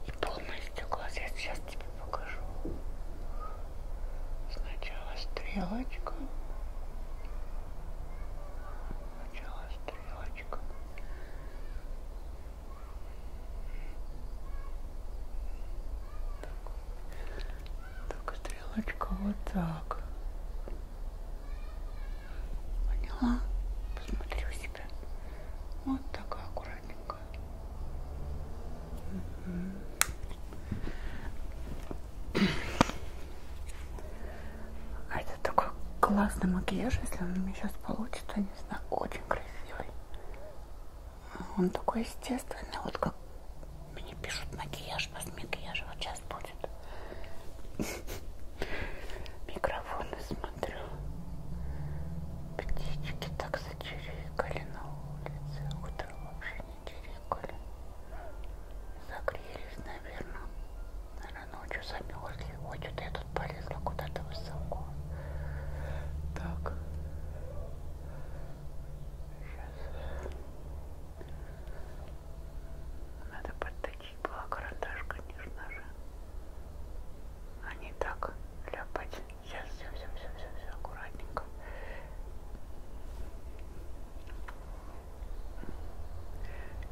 И полностью глаз я сейчас тебе покажу. Сначала стрелочка. Сначала стрелочка. Так, так стрелочка вот так. Поняла? Посмотри у себя. Вот такая аккуратненькая. А это такой классный макияж, если он у меня сейчас получится, не знаю, очень красивый. Он такой естественный, вот как мне пишут макияж, без макияжа вот сейчас будет. Микрофоны смотрю. Птички так зачирикали на улице. Утро вообще Чирикали. Загрелись, наверное. Наверное, ночью замерзли. Ой, что-то я тут полезла куда-то высоко. Так. Сейчас. Надо подточить была карандаш, конечно же. А не так ляпать. Сейчас все, все, все, все, все аккуратненько.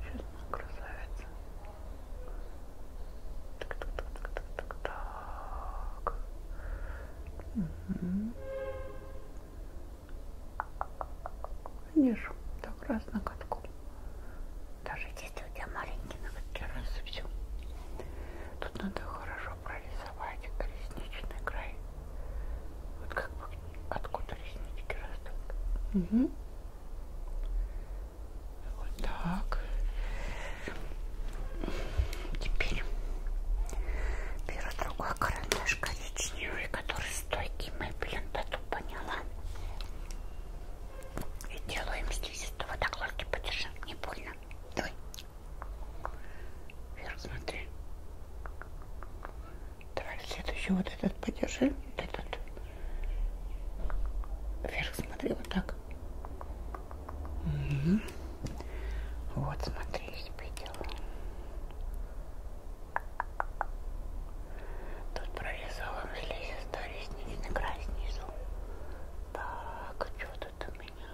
Сейчас моя красавица. Так, так, так, так, так, так, так. Угу. Видишь, так раз на катку. Даже если у тебя маленький на катке раз и все. Тут надо хорошо прорисовать ресничный край. Вот как бы откуда реснички растут. Угу. Вот так. Теперь беру другой карандаш коричневый, который стойкий мой блин-то поняла. И делаем здесь этого так ложки подержи, не больно. Давай. Вверх смотри. Давай следующий вот этот подержи. Вот этот. Вверх смотри, вот так. Угу. Вот смотри, я тебе делаю. Тут прорисовывались лезь, ресничный край снизу. Так, что тут у меня? меня.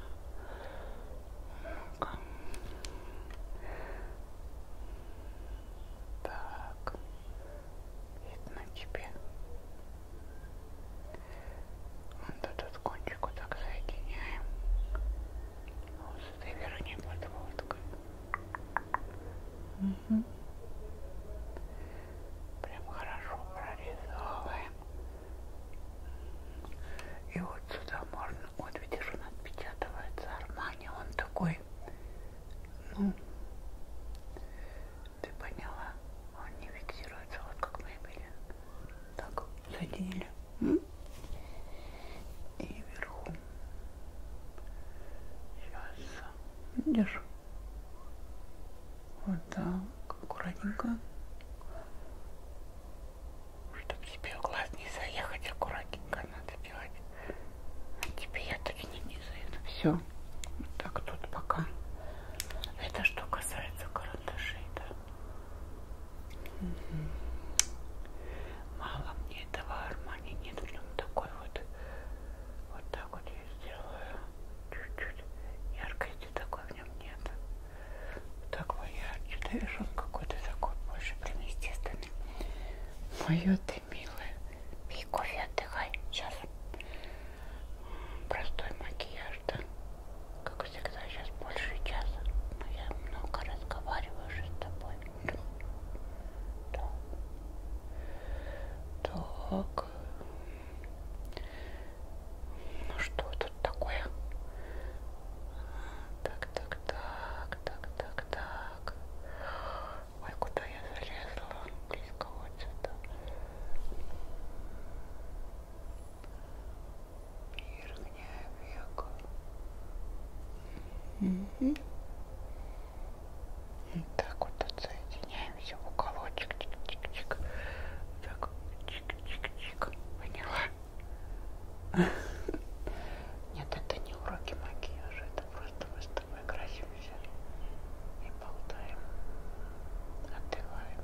Ну-ка. Так. Видно тебе. Вот этот кончик вот так соединяем. Вот с этой верхней подводкой. Угу. Прям хорошо прорезовываем. И вот сюда можно, вот видишь, он отпечатывается Армани, он такой, ну, ты поняла, он не фиксируется, вот как мы имели. Так, соединили. И вверху. Сейчас, видишь? Вот так, аккуратненько. Чтобы тебе в глаз не заехать, аккуратненько надо делать. А тебе я точно не заеду. Ну, Все. Вот так тут пока. Это что касается карандашей, да? Угу. Мало мне этого Армани нет. В нем такой вот. Вот так вот я сделаю. Чуть-чуть яркости такой в нем нет. Так, ой, я что-то вижу, он какой-то такой больше, блин, естественный. Мое ты, милая. Пей кофе, отдыхай. Сейчас простой макияж, да? Как всегда, сейчас больше часа. Но ну, я много разговариваю уже с тобой. Да. Так. Ну что тут такое? так, так, так, так, так, так. Ой, куда я залезла? Близко вот сюда. Верхняя века. Угу. Так вот отсоединяемся в уголочек. Чик-чик-чик. Так, чик-чик-чик. Поняла? Нет, это не уроки макияжа, это просто мы с тобой красимся и болтаем, отдыхаем.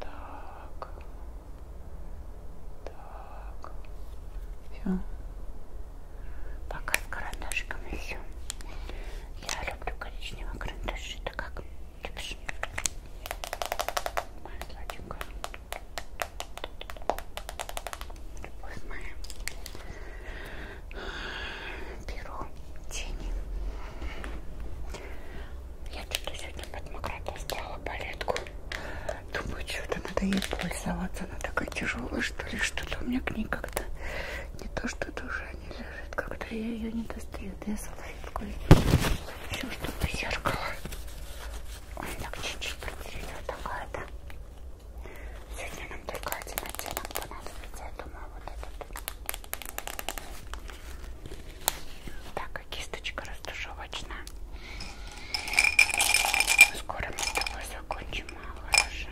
Так, так, все. Пока с карандашиками все. Я люблю коричневые карандаши, так как любишь? Моя сладенькая любовь Беру тени. Я что-то сегодня под мокроту стала палетку. Думаю, что-то надо ей пользоваться. Она такая тяжелая, что ли, что-то у меня к ней как-то не то, что душа не лежит. Как-то я ее не достаю. Да я салфетку еще что-то зеркало. Он так чуть-чуть протереть вот такая-то. Сегодня нам только один оттенок понадобится, я думаю, вот этот. Так, и а кисточка растушевочная. Скоро мы с тобой закончим, а, хорошо.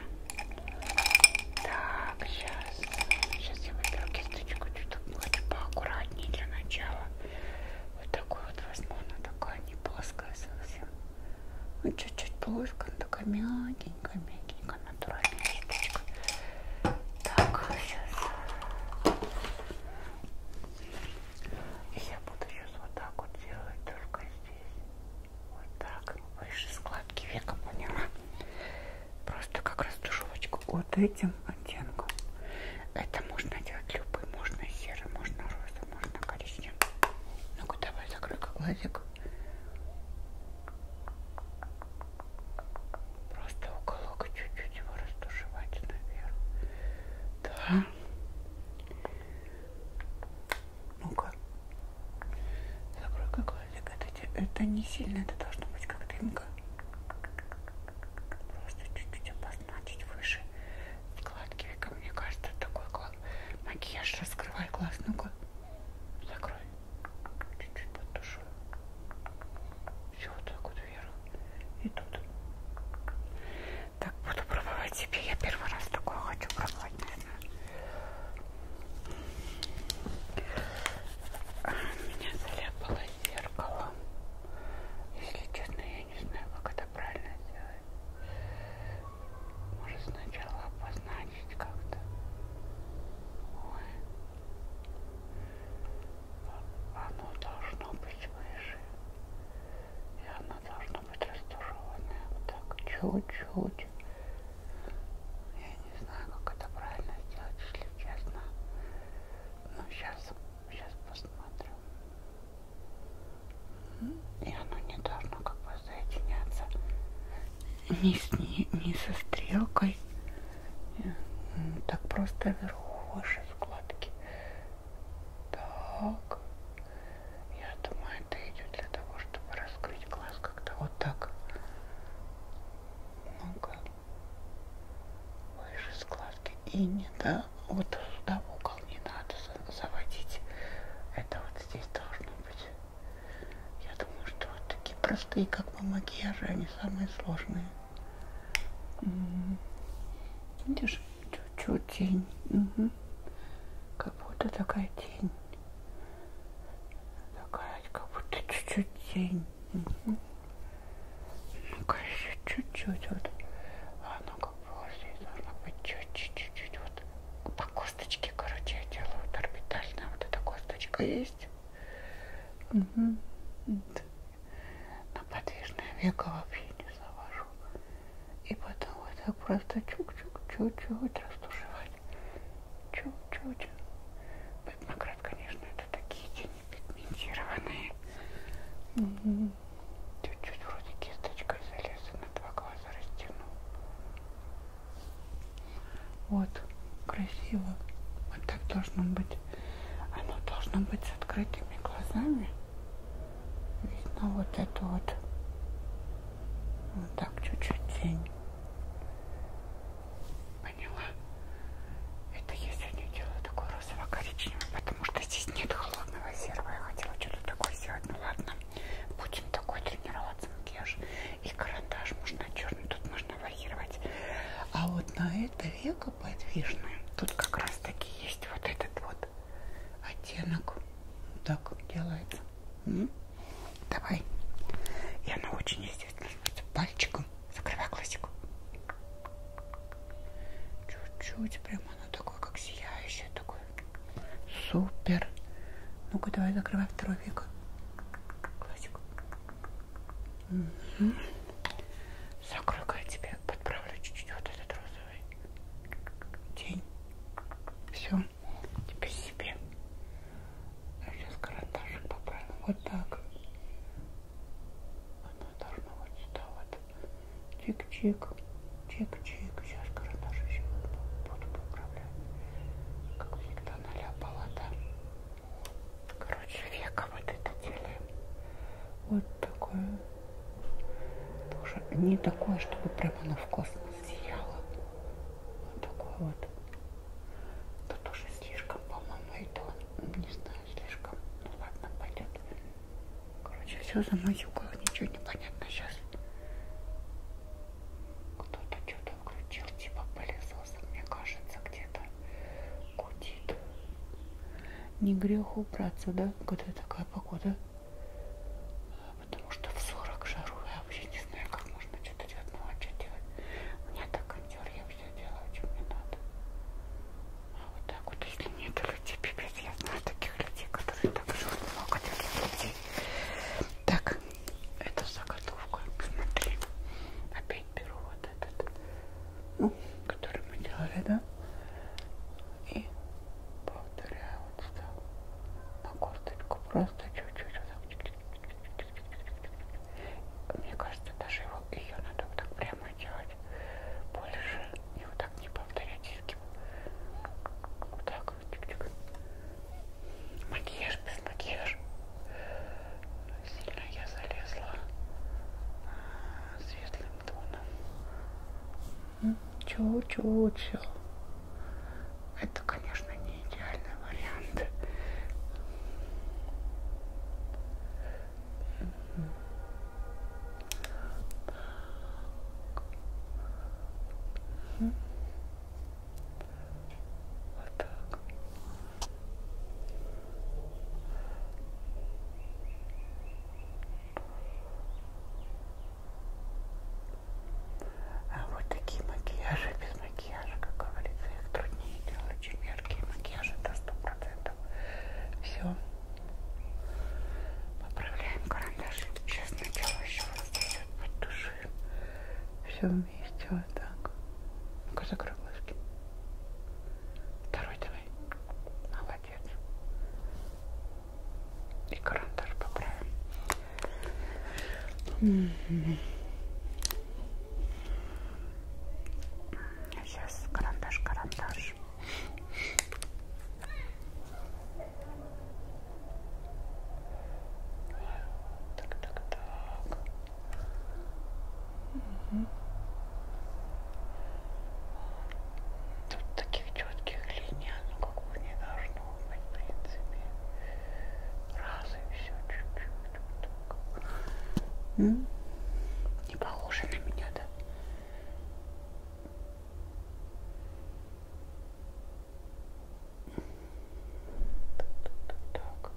Так, сейчас. Сейчас я выберу кисточку, чуть-чуть хочу поаккуратнее для начала. Вот такой вот возьму, она такая не плоская совсем. Ну, чуть-чуть плоская, она такая мягенькая, мягенькая, натуральная штучка. Так, сейчас. И я буду сейчас вот так вот делать, только здесь. Вот так, выше складки века, поняла? Просто как раз душевочку вот этим оттенком. Это можно делать любой, можно серый, можно розовый, можно коричневый. Ну-ка, давай закрой-ка глазик. Просто уголок чуть-чуть его растушевать наверх. Да. Ну-ка. Закрой-ка глазик. Это, это не сильно, это должно быть как дымка. Просто чуть-чуть опас одна чуть выше складки века. Мне кажется, такой глаз. Макияж раскрывай глаз. Ну-ка, закрой. Чуть-чуть под душой. Все вот так вот вверх. И тут. Так, буду пробовать себе. Я первый раз такое хочу пробовать, наверное. Меня заляпало зеркало. Если честно, я не знаю, как это правильно сделать. Может сначала обозначить как-то. Ой. А, оно должно быть выше. И оно должно быть растушеванное. Вот так, чуть-чуть. Я не знаю, как это правильно сделать, если честно. Но сейчас Сейчас посмотрим. И оно не должно как бы соединяться ни, с, ни, ни со стрелкой. Так просто вверху выше складки. Так. Я думаю, это идет для того, чтобы раскрыть глаз как-то вот так. Много выше складки глазки. И не да, вот сюда в угол не надо заводить. Это вот здесь должно быть. Я думаю, что вот такие простые, как бы макияжи, они самые сложные. М-м-м. Видишь, чуть-чуть тень. Угу. Как будто такая тень. Такая, как будто чуть-чуть тень. Угу. Ну-ка еще чуть-чуть вот. Оно как было здесь должно быть чуть-чуть-чуть вот. По косточке, короче, я делаю вот орбитальная вот эта косточка есть. Угу. На подвижное веко вообще не завожу. И потом вот так просто чук-чук, чуть-чуть растушевать. Чуть-чуть. Пятнократ, конечно, это такие тени пигментированные. Угу. Чуть-чуть вроде кисточкой залез и на два глаза растянул. Вот, красиво. Вот так должно быть. Оно должно быть с открытыми глазами. Видно вот это вот. Вот так чуть-чуть тень. Поняла? Это я сегодня делаю такой розово-коричневый потому что здесь нет холодного серого. Я хотела что-то такое сделать, ну ладно. Будем такой тренироваться макияж. И карандаш можно черный, тут можно варьировать. А вот на это веко подвижное, тут как раз таки есть вот этот вот оттенок. Вот так делается. М -м? Давай. И она очень естественно. Пальчиком закрывай классику. Чуть-чуть, прям оно такое, как сияющее, такое. Супер. Ну-ка, давай закрывай второй век. Классик. Угу. Закрой-ка я тебе подправлю чуть-чуть вот этот розовый тень. Все. Теперь себе. Сейчас карандашик поправим. Вот так. Она должна вот сюда вот. Чик-чик. Чик-чик. Сейчас карандаш еще буду поуправлять. Как всегда наляпала, да? Короче, века вот это делаем. Вот такое. Тоже не такое, чтобы прямо оно в космос сияло. Вот такое вот. Это тоже слишком, по-моему, это, не знаю, слишком. Ну ладно, пойдет. Короче, все замазюкало, ничего не понятно сейчас. Кто-то что-то включил, типа пылесоса, мне кажется, где-то гудит. Не грех убраться, да, когда такая погода? Потому что в 40 жару я вообще не знаю, как можно что-то делать, ну а что делать? У меня так кондер, я все делаю, что мне надо. Вот так вот, если нет людей, пипец, я знаю таких людей, которые так живут, много таких людей. Так, это заготовка, смотри, опять беру вот этот, ну, который мы делали, да? И повторяю вот сюда, на косточку, просто чуть-чуть вот так. Мне кажется, даже его, ее надо вот так прямо этого делать больше и вот так не повторять изгиб. Вот так, чик-чик. Макияж без макияжа. Сильно я залезла а, светлым тоном. Чу-чу-чу. Это, конечно, не идеальный вариант. Угу. Вот так. А вот такие макияжи без макияжа, как говорится, их труднее делать, чем яркие макияжи до 100% там все. Поправляем карандаш. Сейчас сначала еще раз дает под души. Все вместе вот так. Ну-ка закрой глазки. Второй давай. Молодец. И карандаш поправим. Mm -hmm. Сейчас карандаш, карандаш хочешь. Так, так, так. Угу. Тут таких четких линий, оно как бы не должно быть, в принципе. Раз и все, чуть-чуть. Вот так. Не похоже на меня, да? Так.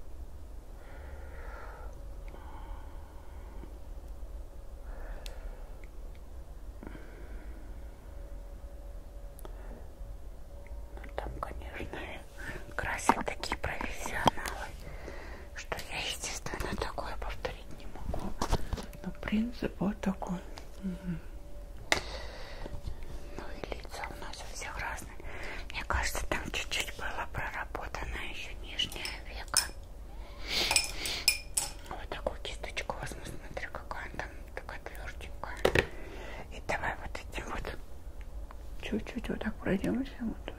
Ну, там, конечно, красят такие профессионалы что я, естественно, такое повторить не могу. Но принцип вот такой. Угу. Ну и лица у нас у всех разные. Мне кажется, там чуть-чуть было проработано еще нижнее веко. Вот такую кисточку возьму, смотри, какая она там такая тверденькая. И давай вот этим вот чуть-чуть вот так пройдемся вот тут.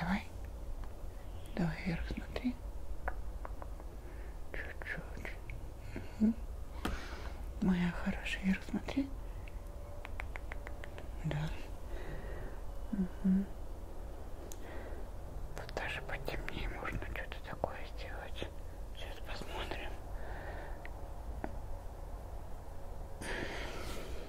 Давай давай. Давай вверх смотри. Чуть-чуть. Угу. Моя хорошая, вверх смотри. Да. Угу. Тут даже потемнее можно что-то такое сделать. Сейчас посмотрим.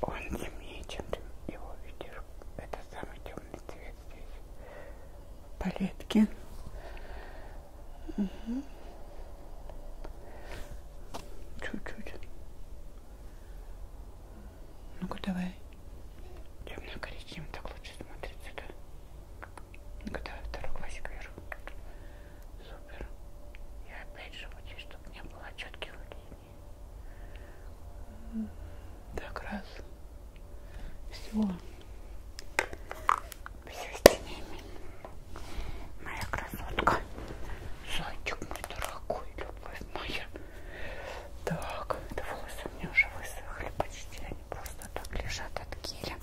Он темнее, чем ты его видишь. Это самый темный цвет здесь. Палетки. Угу. Чуть-чуть. Ну-ка давай. Темно-коричневым так лучше смотрится, да? Ну-ка давай второй глазик вверх. Супер. Я опять же хочу, чтобы не было четких людей. Так, раз. Все. Все снимем. Моя красотка. Зайчик мой дорогой, любовь моя. Так, это волосы у меня уже высохли почти. Они просто так лежат от геля.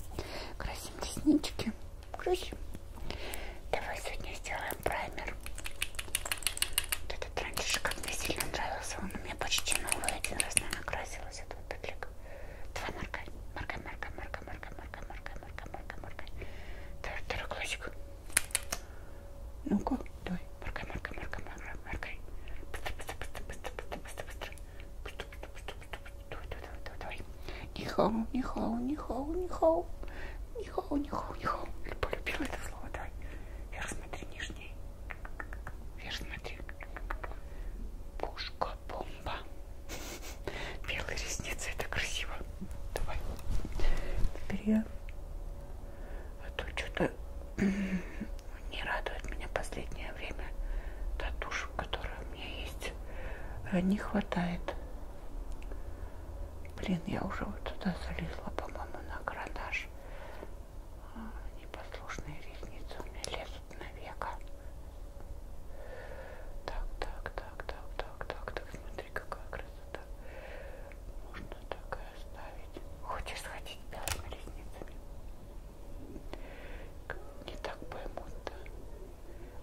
Красим реснички. Красим. Давай сегодня сделаем праймер. Это этот раньше как мне сильно нравился, он у меня почти новый, один раз накрасилась этот петлик. Давай маркай, маркай, маркай, маркай, маркай, маркай, маркай, маркай, маркай, маркай. Давай, второй глазик. Ну-ка, давай, маркай, маркай, маркай, маркай, маркай. Быстро, быстро, быстро, быстро, быстро, быстро, быстро. Быстро, быстро, быстро, быстро, быстро. Давай, давай, давай, давай. Нихау, нихау, нихау, нихау. Нихау, нихау, нихау. Полюбила это слово, давай. Вверх смотри, нижний. Вверх смотри. Пушка-бомба. Белые ресницы, это красиво. Давай. Вперед. А то что-то не радует меня последнее время. Та тушь, которая у меня есть, а не хватает. Блин, я уже вот туда залезла, по-моему, на карандаш. А, непослушные ресницы у меня лезут на века. Так, так, так, так, так, так, так. Смотри, какая красота. Можно так и оставить. Хочешь сходить белыми ресницами? Не так поймут, да?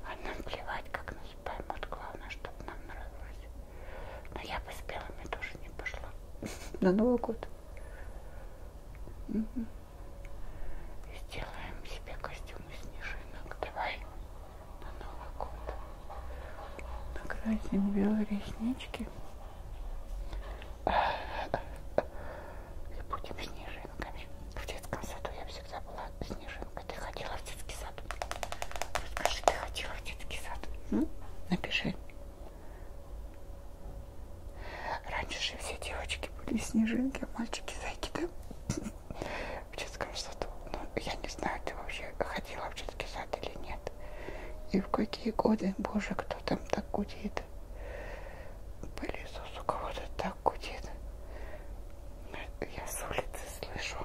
А нам плевать, как нас поймут. Главное, чтобы нам нравилось. Но я бы с белыми тоже не пошла. На Новый год. Угу. Сделаем себе костюм из снежинок. Давай на Новый год. Накрасим белые реснички. И будем снежинками. В детском саду я всегда была снежинкой. Ты ходила в детский сад? Расскажи, ты ходила в детский сад? М? Напиши. Раньше же все девочки были снежинки, а мальчики зайки, да? В детском саду. Ну, я не знаю, ты вообще ходила в детский сад или нет. И в какие годы, боже, кто там так гудит. Пылесос у кого-то так гудит. Ну, я с улицы слышу.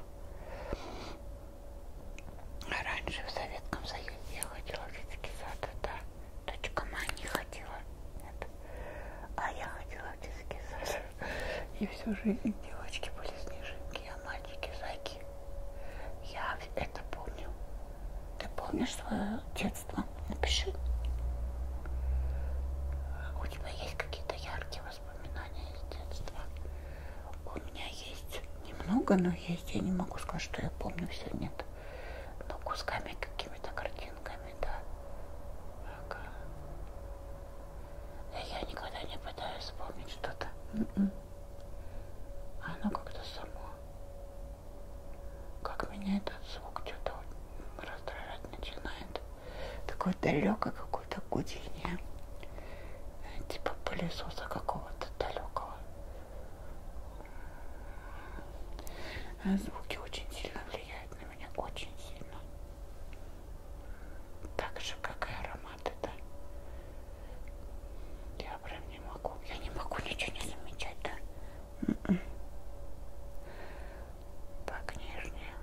А раньше в Советском Союзе я ходила в детский сад, да. Дочка моя не ходила, нет. А я ходила в детский сад. И всю жизнь девочки были снежинки, а мальчики зайки. Я это помню. Ты помнишь свое детство? Напиши. У тебя есть какие-то яркие воспоминания из детства? У у меня есть немного, но есть. Я не могу сказать, что я помню, все нет. Но кусками какими-то картинками, да. Так. Я никогда не пытаюсь вспомнить что-то. Mm -mm. Оно как-то само. Как меня этот звук что-то раздражать начинает. Такое далекое какое-то гудение типа пылесоса какого-то далекого. А звуки очень сильно влияют на меня, очень сильно. Так же, как и ароматы, да. Я прям не могу, я не могу ничего не замечать, да. Mm -mm. Так, нижние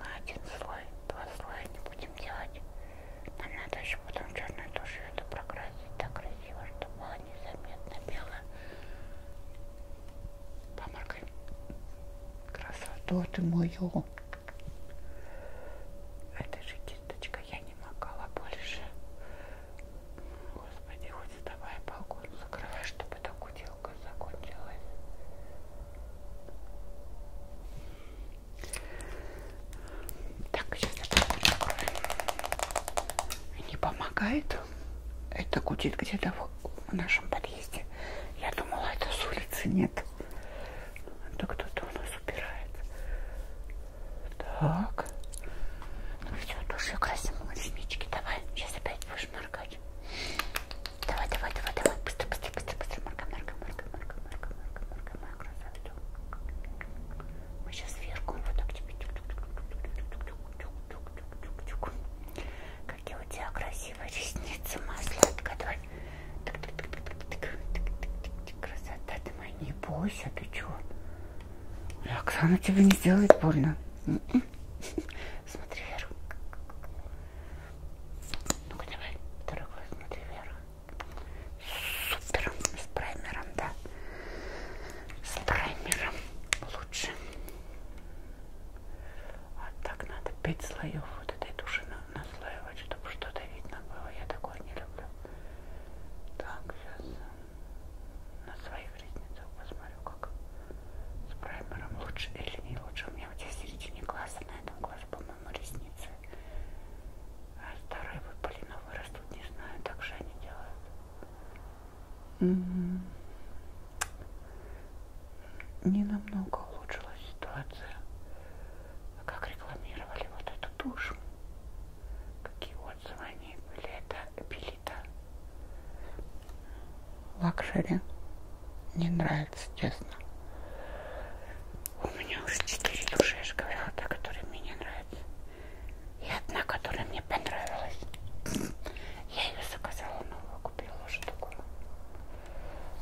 на один слой, два слоя не будем делать. Нам надо еще потом черной тушью это прокрасить так красиво, чтобы было незаметно белая помаркой. Красоту ты мою. Это же кисточка, я не макала больше. Господи, хоть давай балкон закрывай, чтобы так уделка закончилась. Так, сейчас откроем. Не помогает. Это гудит где-то в, в нашем подъезде. Я думала, это с улицы нет. Да кто-то у нас убирает. Так. Ну все, душу красим реснички. Давай, сейчас опять будешь моргать. Давай, давай, давай, давай. Быстро, быстро, быстро, быстро. Моргай, моргай, моргай, моргай, моргай, моргай, моргай, моя красавица. Мы сейчас вверху вот так тебе. Какие у тебя красивые ресницы, моя сладкая. Давай. Красота ты моя, не бойся, ты чего? Оксана тебе не сделает больно. Смотри вверх. Ну-ка давай, второй глаз, смотри вверх супер с праймером, да. С праймером лучше. А так надо 5 слоев вот этой туши наслаивать, чтобы что-то видно было. Я такое не люблю. Так, сейчас на своих ресницах посмотрю, как с праймером лучше или не лучше. У меня вот здесь середине глаза на этом глазу, по по-моему, ресницы. А старые выпали, новые растут, не знаю, так же они делают. Mm -hmm. Не намного улучшилась ситуация. А как рекламировали вот эту душу. Какие отзывы они были, это Белита. Лакшери не нравится, честно. У меня уже четыре души, я же говорила, та, которая мне нравится. И одна, которая мне понравилась. Я ее заказала, новую купила уже такую.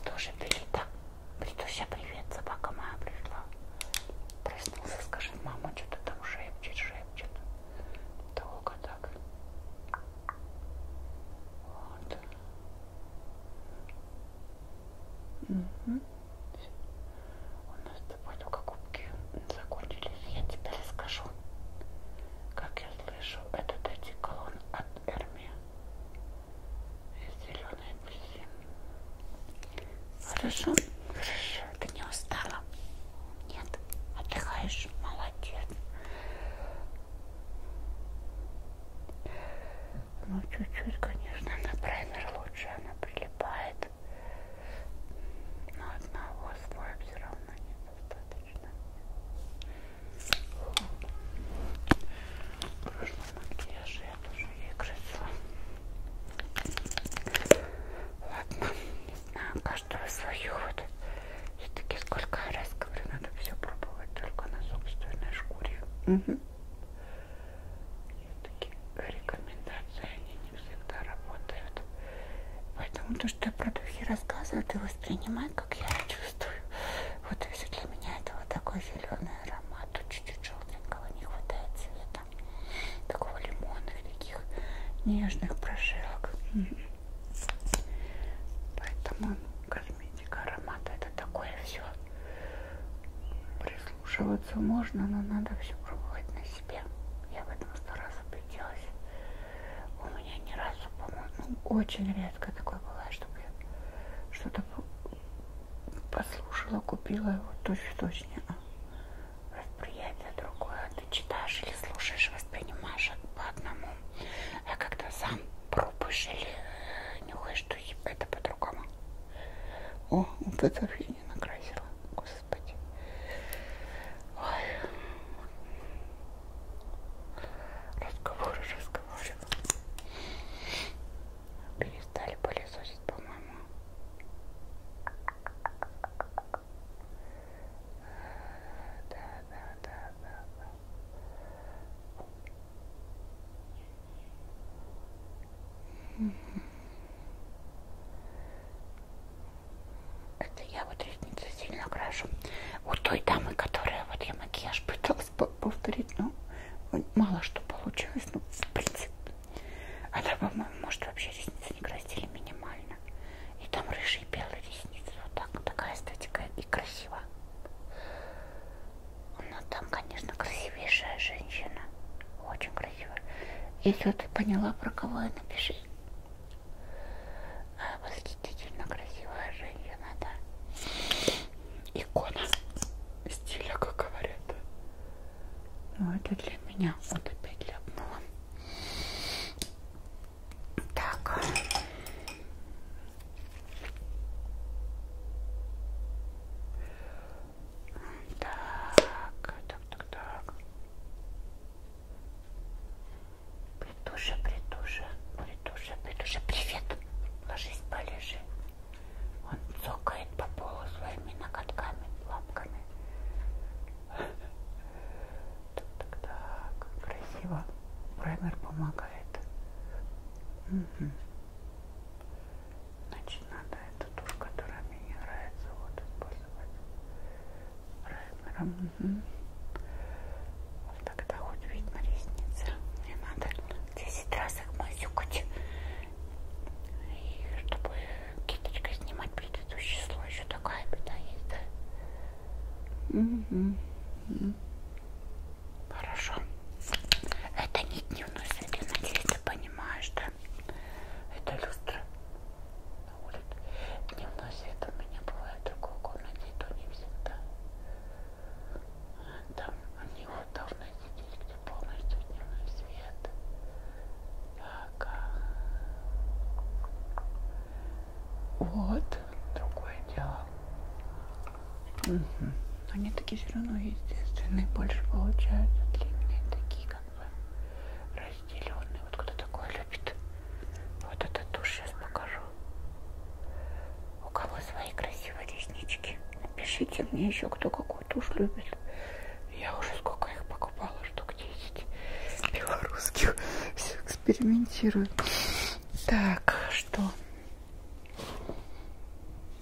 Тоже Белита. Притуся, привет, собака моя пришла. Проснулся, скажет, мама, что-то там шепчет, шепчет. Долго так. Вот. Угу. У нас с тобой только губки закончились. Я тебе расскажу. Как я слышу, этот одеколон от Эрми. Зеленый апельсин. Хорошо? Хорошо. Ты не устала? Нет? Отдыхаешь? Молодец. Ну, чуть-чуть, конечно, на праймер лучше она прилетит прилипает, но одного слоя все равно недостаточно. В прошлом макияже я тоже ей красила. Ладно, не знаю, каждого свою вот. Все-таки сколько раз говорю, надо все пробовать только на собственной шкуре. Угу такие рекомендации, они не всегда работают. Поэтому то, что я про духи рассказываю, ты воспринимай, как я чувствую. Вот если для меня это вот такой зеленый аромат, тут чуть-чуть желтенького не хватает цвета. Такого лимонных, таких нежных прожилок. Поэтому косметика аромата это такое все. Слушиваться можно, но надо все пробовать на себе. Я в этом сто раз убедилась. У меня ни разу, по-моему, ну, очень редко такое бывает, чтобы я что-то послушала, купила его точно-точно. А восприятие другое. А ты читаешь или слушаешь, воспринимаешь по одному. А когда сам пробуешь или э, нюхаешь, что это по-другому. О, вот это фильм накрасила, господи. Ой. Разговоры, разговоры. Перестали пылесосить, по-моему. Да, да, да, да, да. Mm-hmm. Это я вот ресницы сильно крашу. Вот той дамы, которая вот я макияж пыталась повторить, но мало что получилось. Ну, в принципе. Она, по-моему, может вообще ресницы не красили минимально. И там рыжие и белые ресницы. Вот так. Такая эстетика и красиво. Но ну, там, конечно, красивейшая женщина. Очень красивая. Если ты поняла, про кого я, напиши. Восхитительно красивая женщина, да. Икона стиля, как говорят. Ну, это для меня. Вот опять ляпнула. Так. Так, так, так, так. Притуша, притуша, притуша, притуша, привет. Ложись, полежи. Он цокает по полу своими ноготками, лапками. Так, так, так, красиво. Праймер помогает. Угу. Значит, надо эту тушь, которая мне не нравится, вот использовать райнером. Угу. Вот тогда хоть видно ресницы. Мне надо 10 раз их мазюкать. И чтобы кисточкой снимать предыдущее слой, еще такая беда есть, да? Угу. угу. Хорошо. Это не дневной свет, я надеюсь, ты поняла понимаешь, да? Это люстра на улице. Дневной свет у меня бывает в другой комнате, и то не всегда. Там у него давно сидели, где полностью дневной свет. Так. А. Вот. Другое дело. Угу. Но они такие все равно естественные, больше получаются длинные, такие как бы разделенные. Вот кто такое любит? Вот эту тушь сейчас покажу. У кого свои красивые реснички? Напишите мне еще, кто какую тушь любит. Я уже сколько их покупала, штук 10 белорусских. Все экспериментирую. Так, что?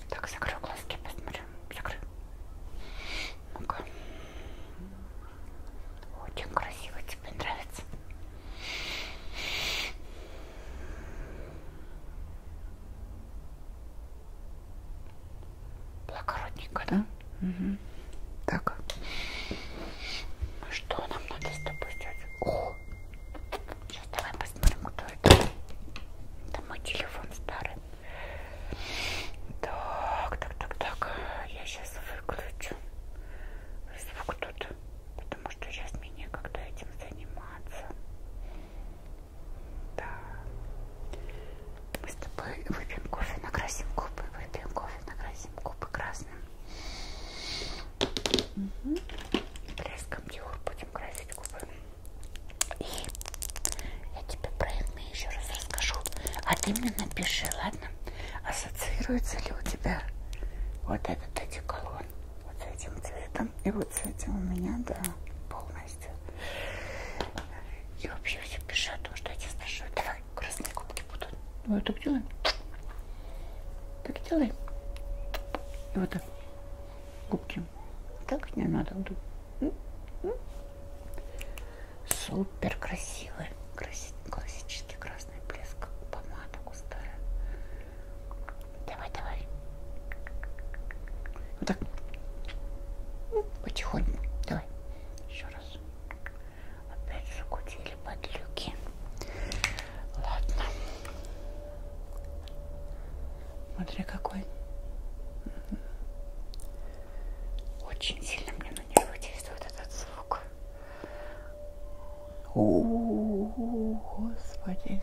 Так, закрою глазки, посмотрю. Закрой, закрой. Ну-ка. Очень красиво, тебе нравится. Благородненько, да? Угу. Так. Ну что нам надо с тобой сделать? О! Сейчас давай посмотрим, кто это. Это мой телефон старый. Так, так, так, так. Я сейчас выключу звук тут, потому что сейчас мне некогда этим заниматься. Да. Мы с тобой выпьем кофе, накрасим губы, выпьем кофе, накрасим губы красным. Угу. Блеском Диор будем красить губы. И я тебе про Эльмы еще раз расскажу. А ты мне напиши, ладно? Ассоциируется ли у тебя вот этот одеколон? Вот с этим цветом и вот с этим у меня, да, полностью. И вообще все пиши о том, что я тебя спрашиваю. Давай, красные губки будут. Вот так делаем. Так делай. И вот так. Губки зачем? Так не надо. Супер красивый, классический красный блеск, помада густая. Давай, давай. Вот так. Потихоньку. Давай. Еще раз. Опять закутили подлюки. Ладно. Смотри какой. Очень сильно мне на нервы действует этот звук. О, господи.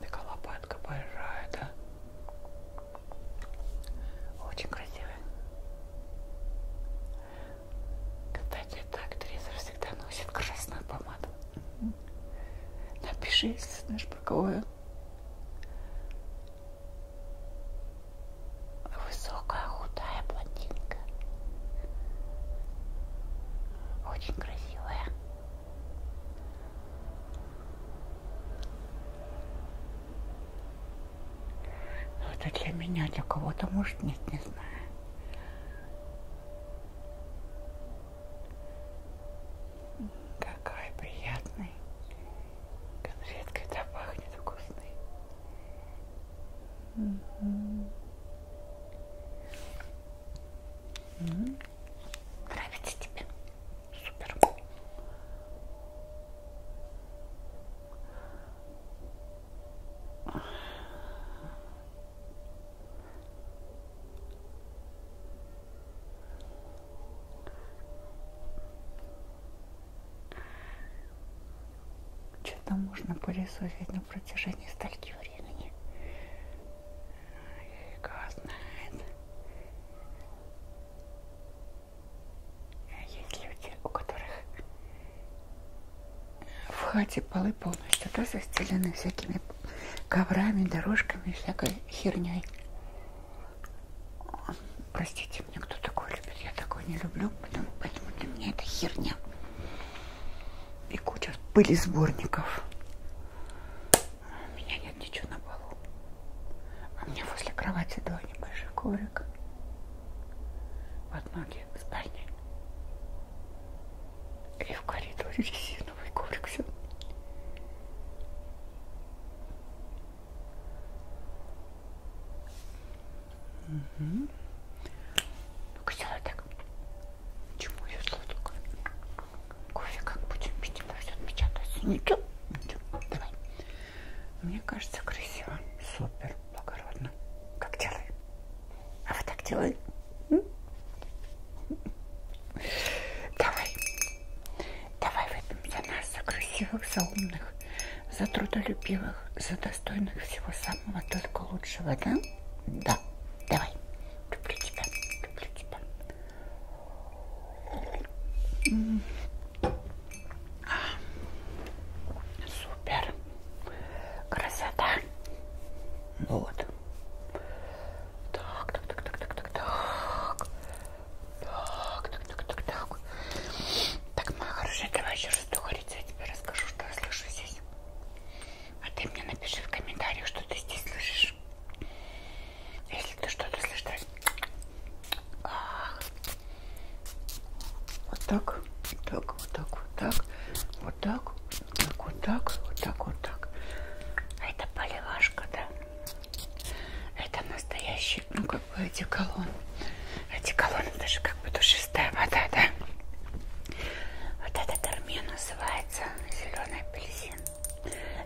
Такая лопатка большая, да? Очень красивая. Кстати, эта актриса всегда носит красную помаду. Напиши, если знаешь, про кого я. Высокая, худая блондинка. Очень красивая. Но это для меня, для кого-то, может, нет, не знаю. Какой приятный. Конфеткой да пахнет вкусный. Угу. Угу. Нравится тебе? Супер. Что-то можно пылесосить на протяжении стольки времени. Фига знает. А есть люди, у которых в хате полы полностью, да, застелены всякими коврами, дорожками, всякой херней. Простите меня, кто такой любит, я такой не люблю, потому, поэтому для меня это херня. И куча пыли сборников. У меня нет ничего на полу. А у меня возле кровати два небольших коврика. Под ноги в спальне. И в коридоре резиновый коврик все. Угу. Ну-ка сделай так. Чему ее сладко? Кофе как будем пить, она все отпечатается. Ничего, ну, ничего, давай. Мне кажется, красиво. Супер, благородно. Как делай? А вы так делали? Давай. Давай выпьем за нас, за красивых, за умных, за трудолюбивых, за достойных всего самого только лучшего, да? Да. Давай. Люблю тебя. Люблю тебя. М -м. А. Супер. Красота. Вот. Так, так, так, так, так, так, так. Так, так, так, так, так. Так, моя хорошая, давай еще что говорится, я тебе расскажу, что я слышу здесь. А ты мне напиши в комментариях, что ты здесь слышишь. Если ты что-то слышишь, то... Вот так, вот так, вот так, вот так, вот так, так, вот так, вот так, вот так. А это поливашка, да? Это настоящий, ну, как бы одеколон. Одеколон, это же как бы душистая вода, да? Вот этот термин называется зеленый апельсин.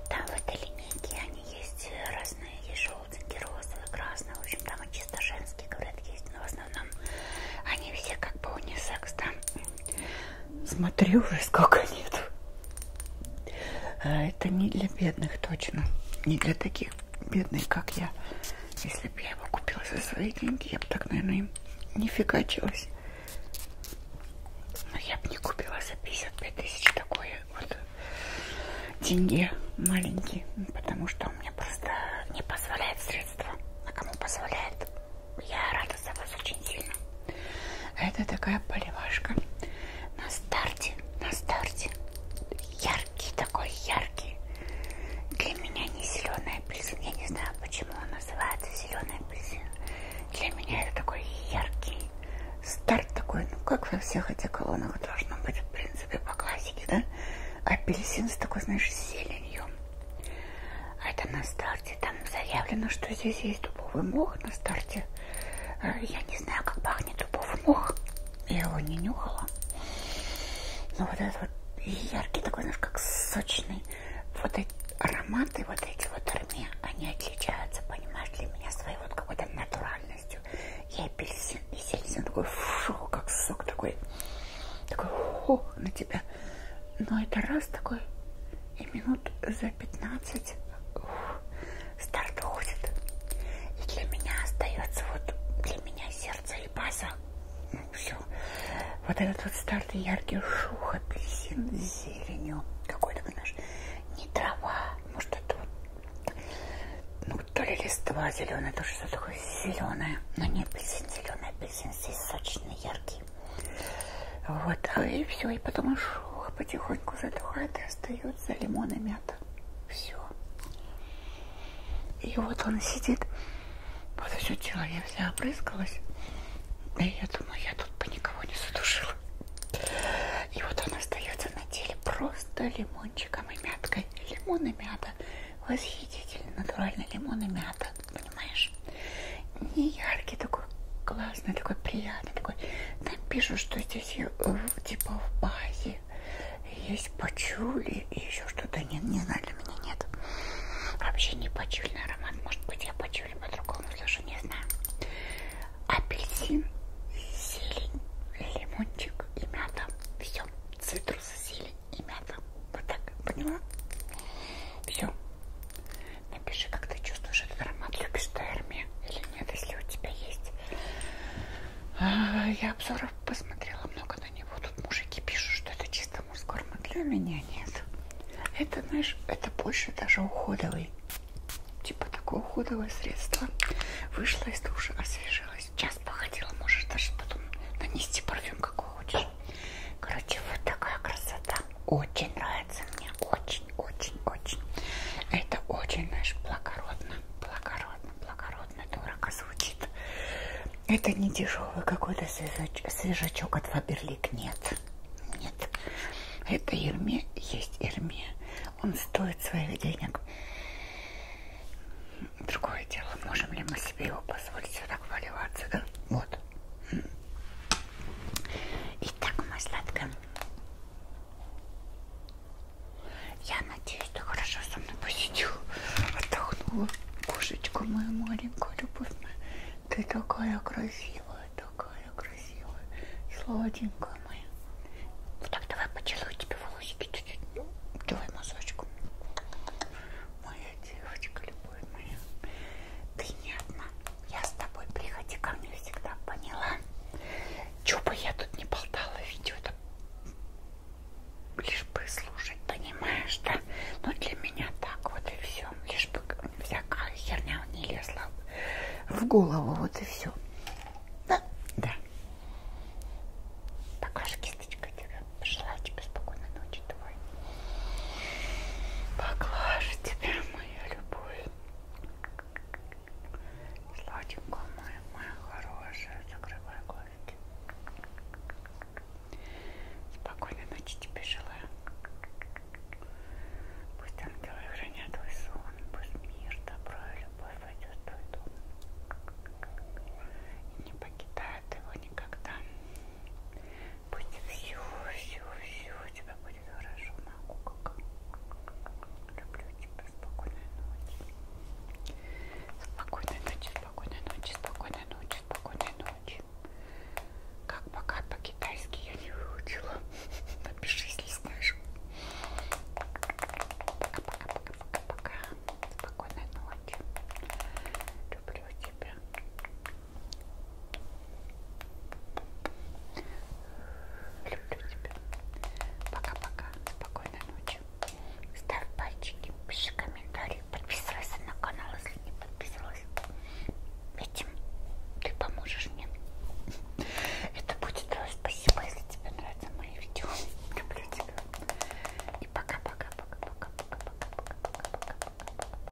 Там в этой линейке они есть разные, есть желтенькие, розовые, красные. В общем, там и чисто женские, говорят, есть. Но в основном они все как бы унисекс, да? Смотрю уже сколько нет. А это не для бедных точно. Не для таких бедных, как я. Если бы я его купила за свои деньги, я бы так, наверное, им не фигачилась. Но я бы не купила за 55 тысяч такое вот деньги маленькие. Потому что у меня просто не позволяет средства. А кому позволяет? Я рада за вас очень сильно. Это такая поливашка. На старте, на старте. Яркий такой, яркий. Для меня не зеленый апельсин. Я не знаю, почему он называется зеленый апельсин. Для меня это такой яркий старт такой. Ну, как во всех этих колоннах должно быть, в принципе, по классике, да? Апельсин с такой, знаешь, зеленью. А это на старте, там заявлено, что здесь есть дубовый мох на старте. Э, я не знаю, как пахнет дубовый мох. Я его не нюхала. Но ну, вот этот вот яркий такой, знаешь, как сочный. Вот эти ароматы, вот эти вот армии, они отличаются, понимаешь, для меня своей вот какой-то натуральностью. И апельсин, и сельдин такой, фу, как сок такой, такой, фу, на тебя. Но это раз такой, и минут за 15 ух, старт уходит. И для меня остается вот для меня сердце и база. Ну, все. Вот этот вот старый яркий шух, апельсин с зеленью. Какой-то, наш не трава. Может, это вот, ну, то ли листва зеленая, то что такое зеленое. Но не апельсин зеленый, апельсин здесь сочный, яркий. Вот, а и все, и потом шух потихоньку задухает и остается лимон и мята. Все. И вот он сидит, вот все тело я вся обрызгалась. И я думаю, я тут бы никого не задушила. И вот он остается на теле просто лимончиком и мяткой. Лимон и мята. Восхитительно, натурально лимон и мята понимаешь? Не яркий такой, классный, такой приятный, такой. Там пишут, что здесь э, типа в базе есть пачули и еще что-то. Не, не знаю, для меня нет. Вообще не пачульный аромат. Может быть, я пачули по-другому слышу, не знаю. Апельсин, зелень, лимончик и мята. Все. Цитрус, зелень и мята. Вот так, поняла? Все. Напиши, как ты чувствуешь этот аромат, любишь терми или нет, если у тебя есть. А, я обзоров посмотрела много на него. Тут мужики пишут, что это чисто мужской аромат. Для меня нет. Это, знаешь, это больше даже уходовый. Типа такое уходовое средство. Вышла из душа, освежилась. Час походила, можешь даже потом нанести парфюм, какой хочешь. Короче, вот такая красота. Очень нравится мне. Очень, очень, очень. Это очень, знаешь, благородно. Благородно, благородно. Дорого звучит. Это не дешевый какой-то свежачок, свежачок от Фаберлик. Нет. Нет. Это Ирме. Есть Ирме. Он стоит своих денег. Другое дело, можем ли мы себе его позволить вот так валиваться, да? Вот. Итак, моя сладкая. Я надеюсь, ты хорошо со мной посидел. Отдохнула кошечку мою маленькую, любовь моя. Ты такая красивая, такая красивая. Сладенькая моя. Вот ну так давай поцелую тебе волосики чуть-чуть. Давай мазочку. Моя девочка, любовь моя. Ты не одна. Я с тобой приходи ко мне всегда, поняла? Че бы я тут не болтала, видео это лишь бы слушать, понимаешь, да? Ну для меня так вот и все. Лишь бы всякая херня не лезла в голову, вот и все. Да, да. Покажи кисточкой тебе. Пожелаю тебе спокойной ночи твой. Поглажу тебя, моя любовь. Сладенькая моя, моя хорошая. Закрывай глазки. Спокойной ночи тебе желаю. Пусть ангелы хранят твой сон. Пусть мир, добро и любовь войдет в твой дом. И не покидает его никогда. Пусть все, все, все у тебя будет хорошо, могу как. Люблю тебя, спокойной ночи. Спокойной ночи, спокойной ночи, спокойной ночи, спокойной ночи. Как пока по-китайски я не выучила. Напиши, если знаешь. Пока-пока-пока-пока-пока. Спокойной ночи. Люблю тебя. Люблю тебя. Пока-пока. Спокойной ночи. Ставь пальчики, пиши комментарии, подписывайся на канал, если не подписалась. Этим ты поможешь мне. Это будет твое спасибо, если тебе нравятся мои видео. Люблю тебя. И пока-пока-пока-пока-пока-пока-пока-пока-пока.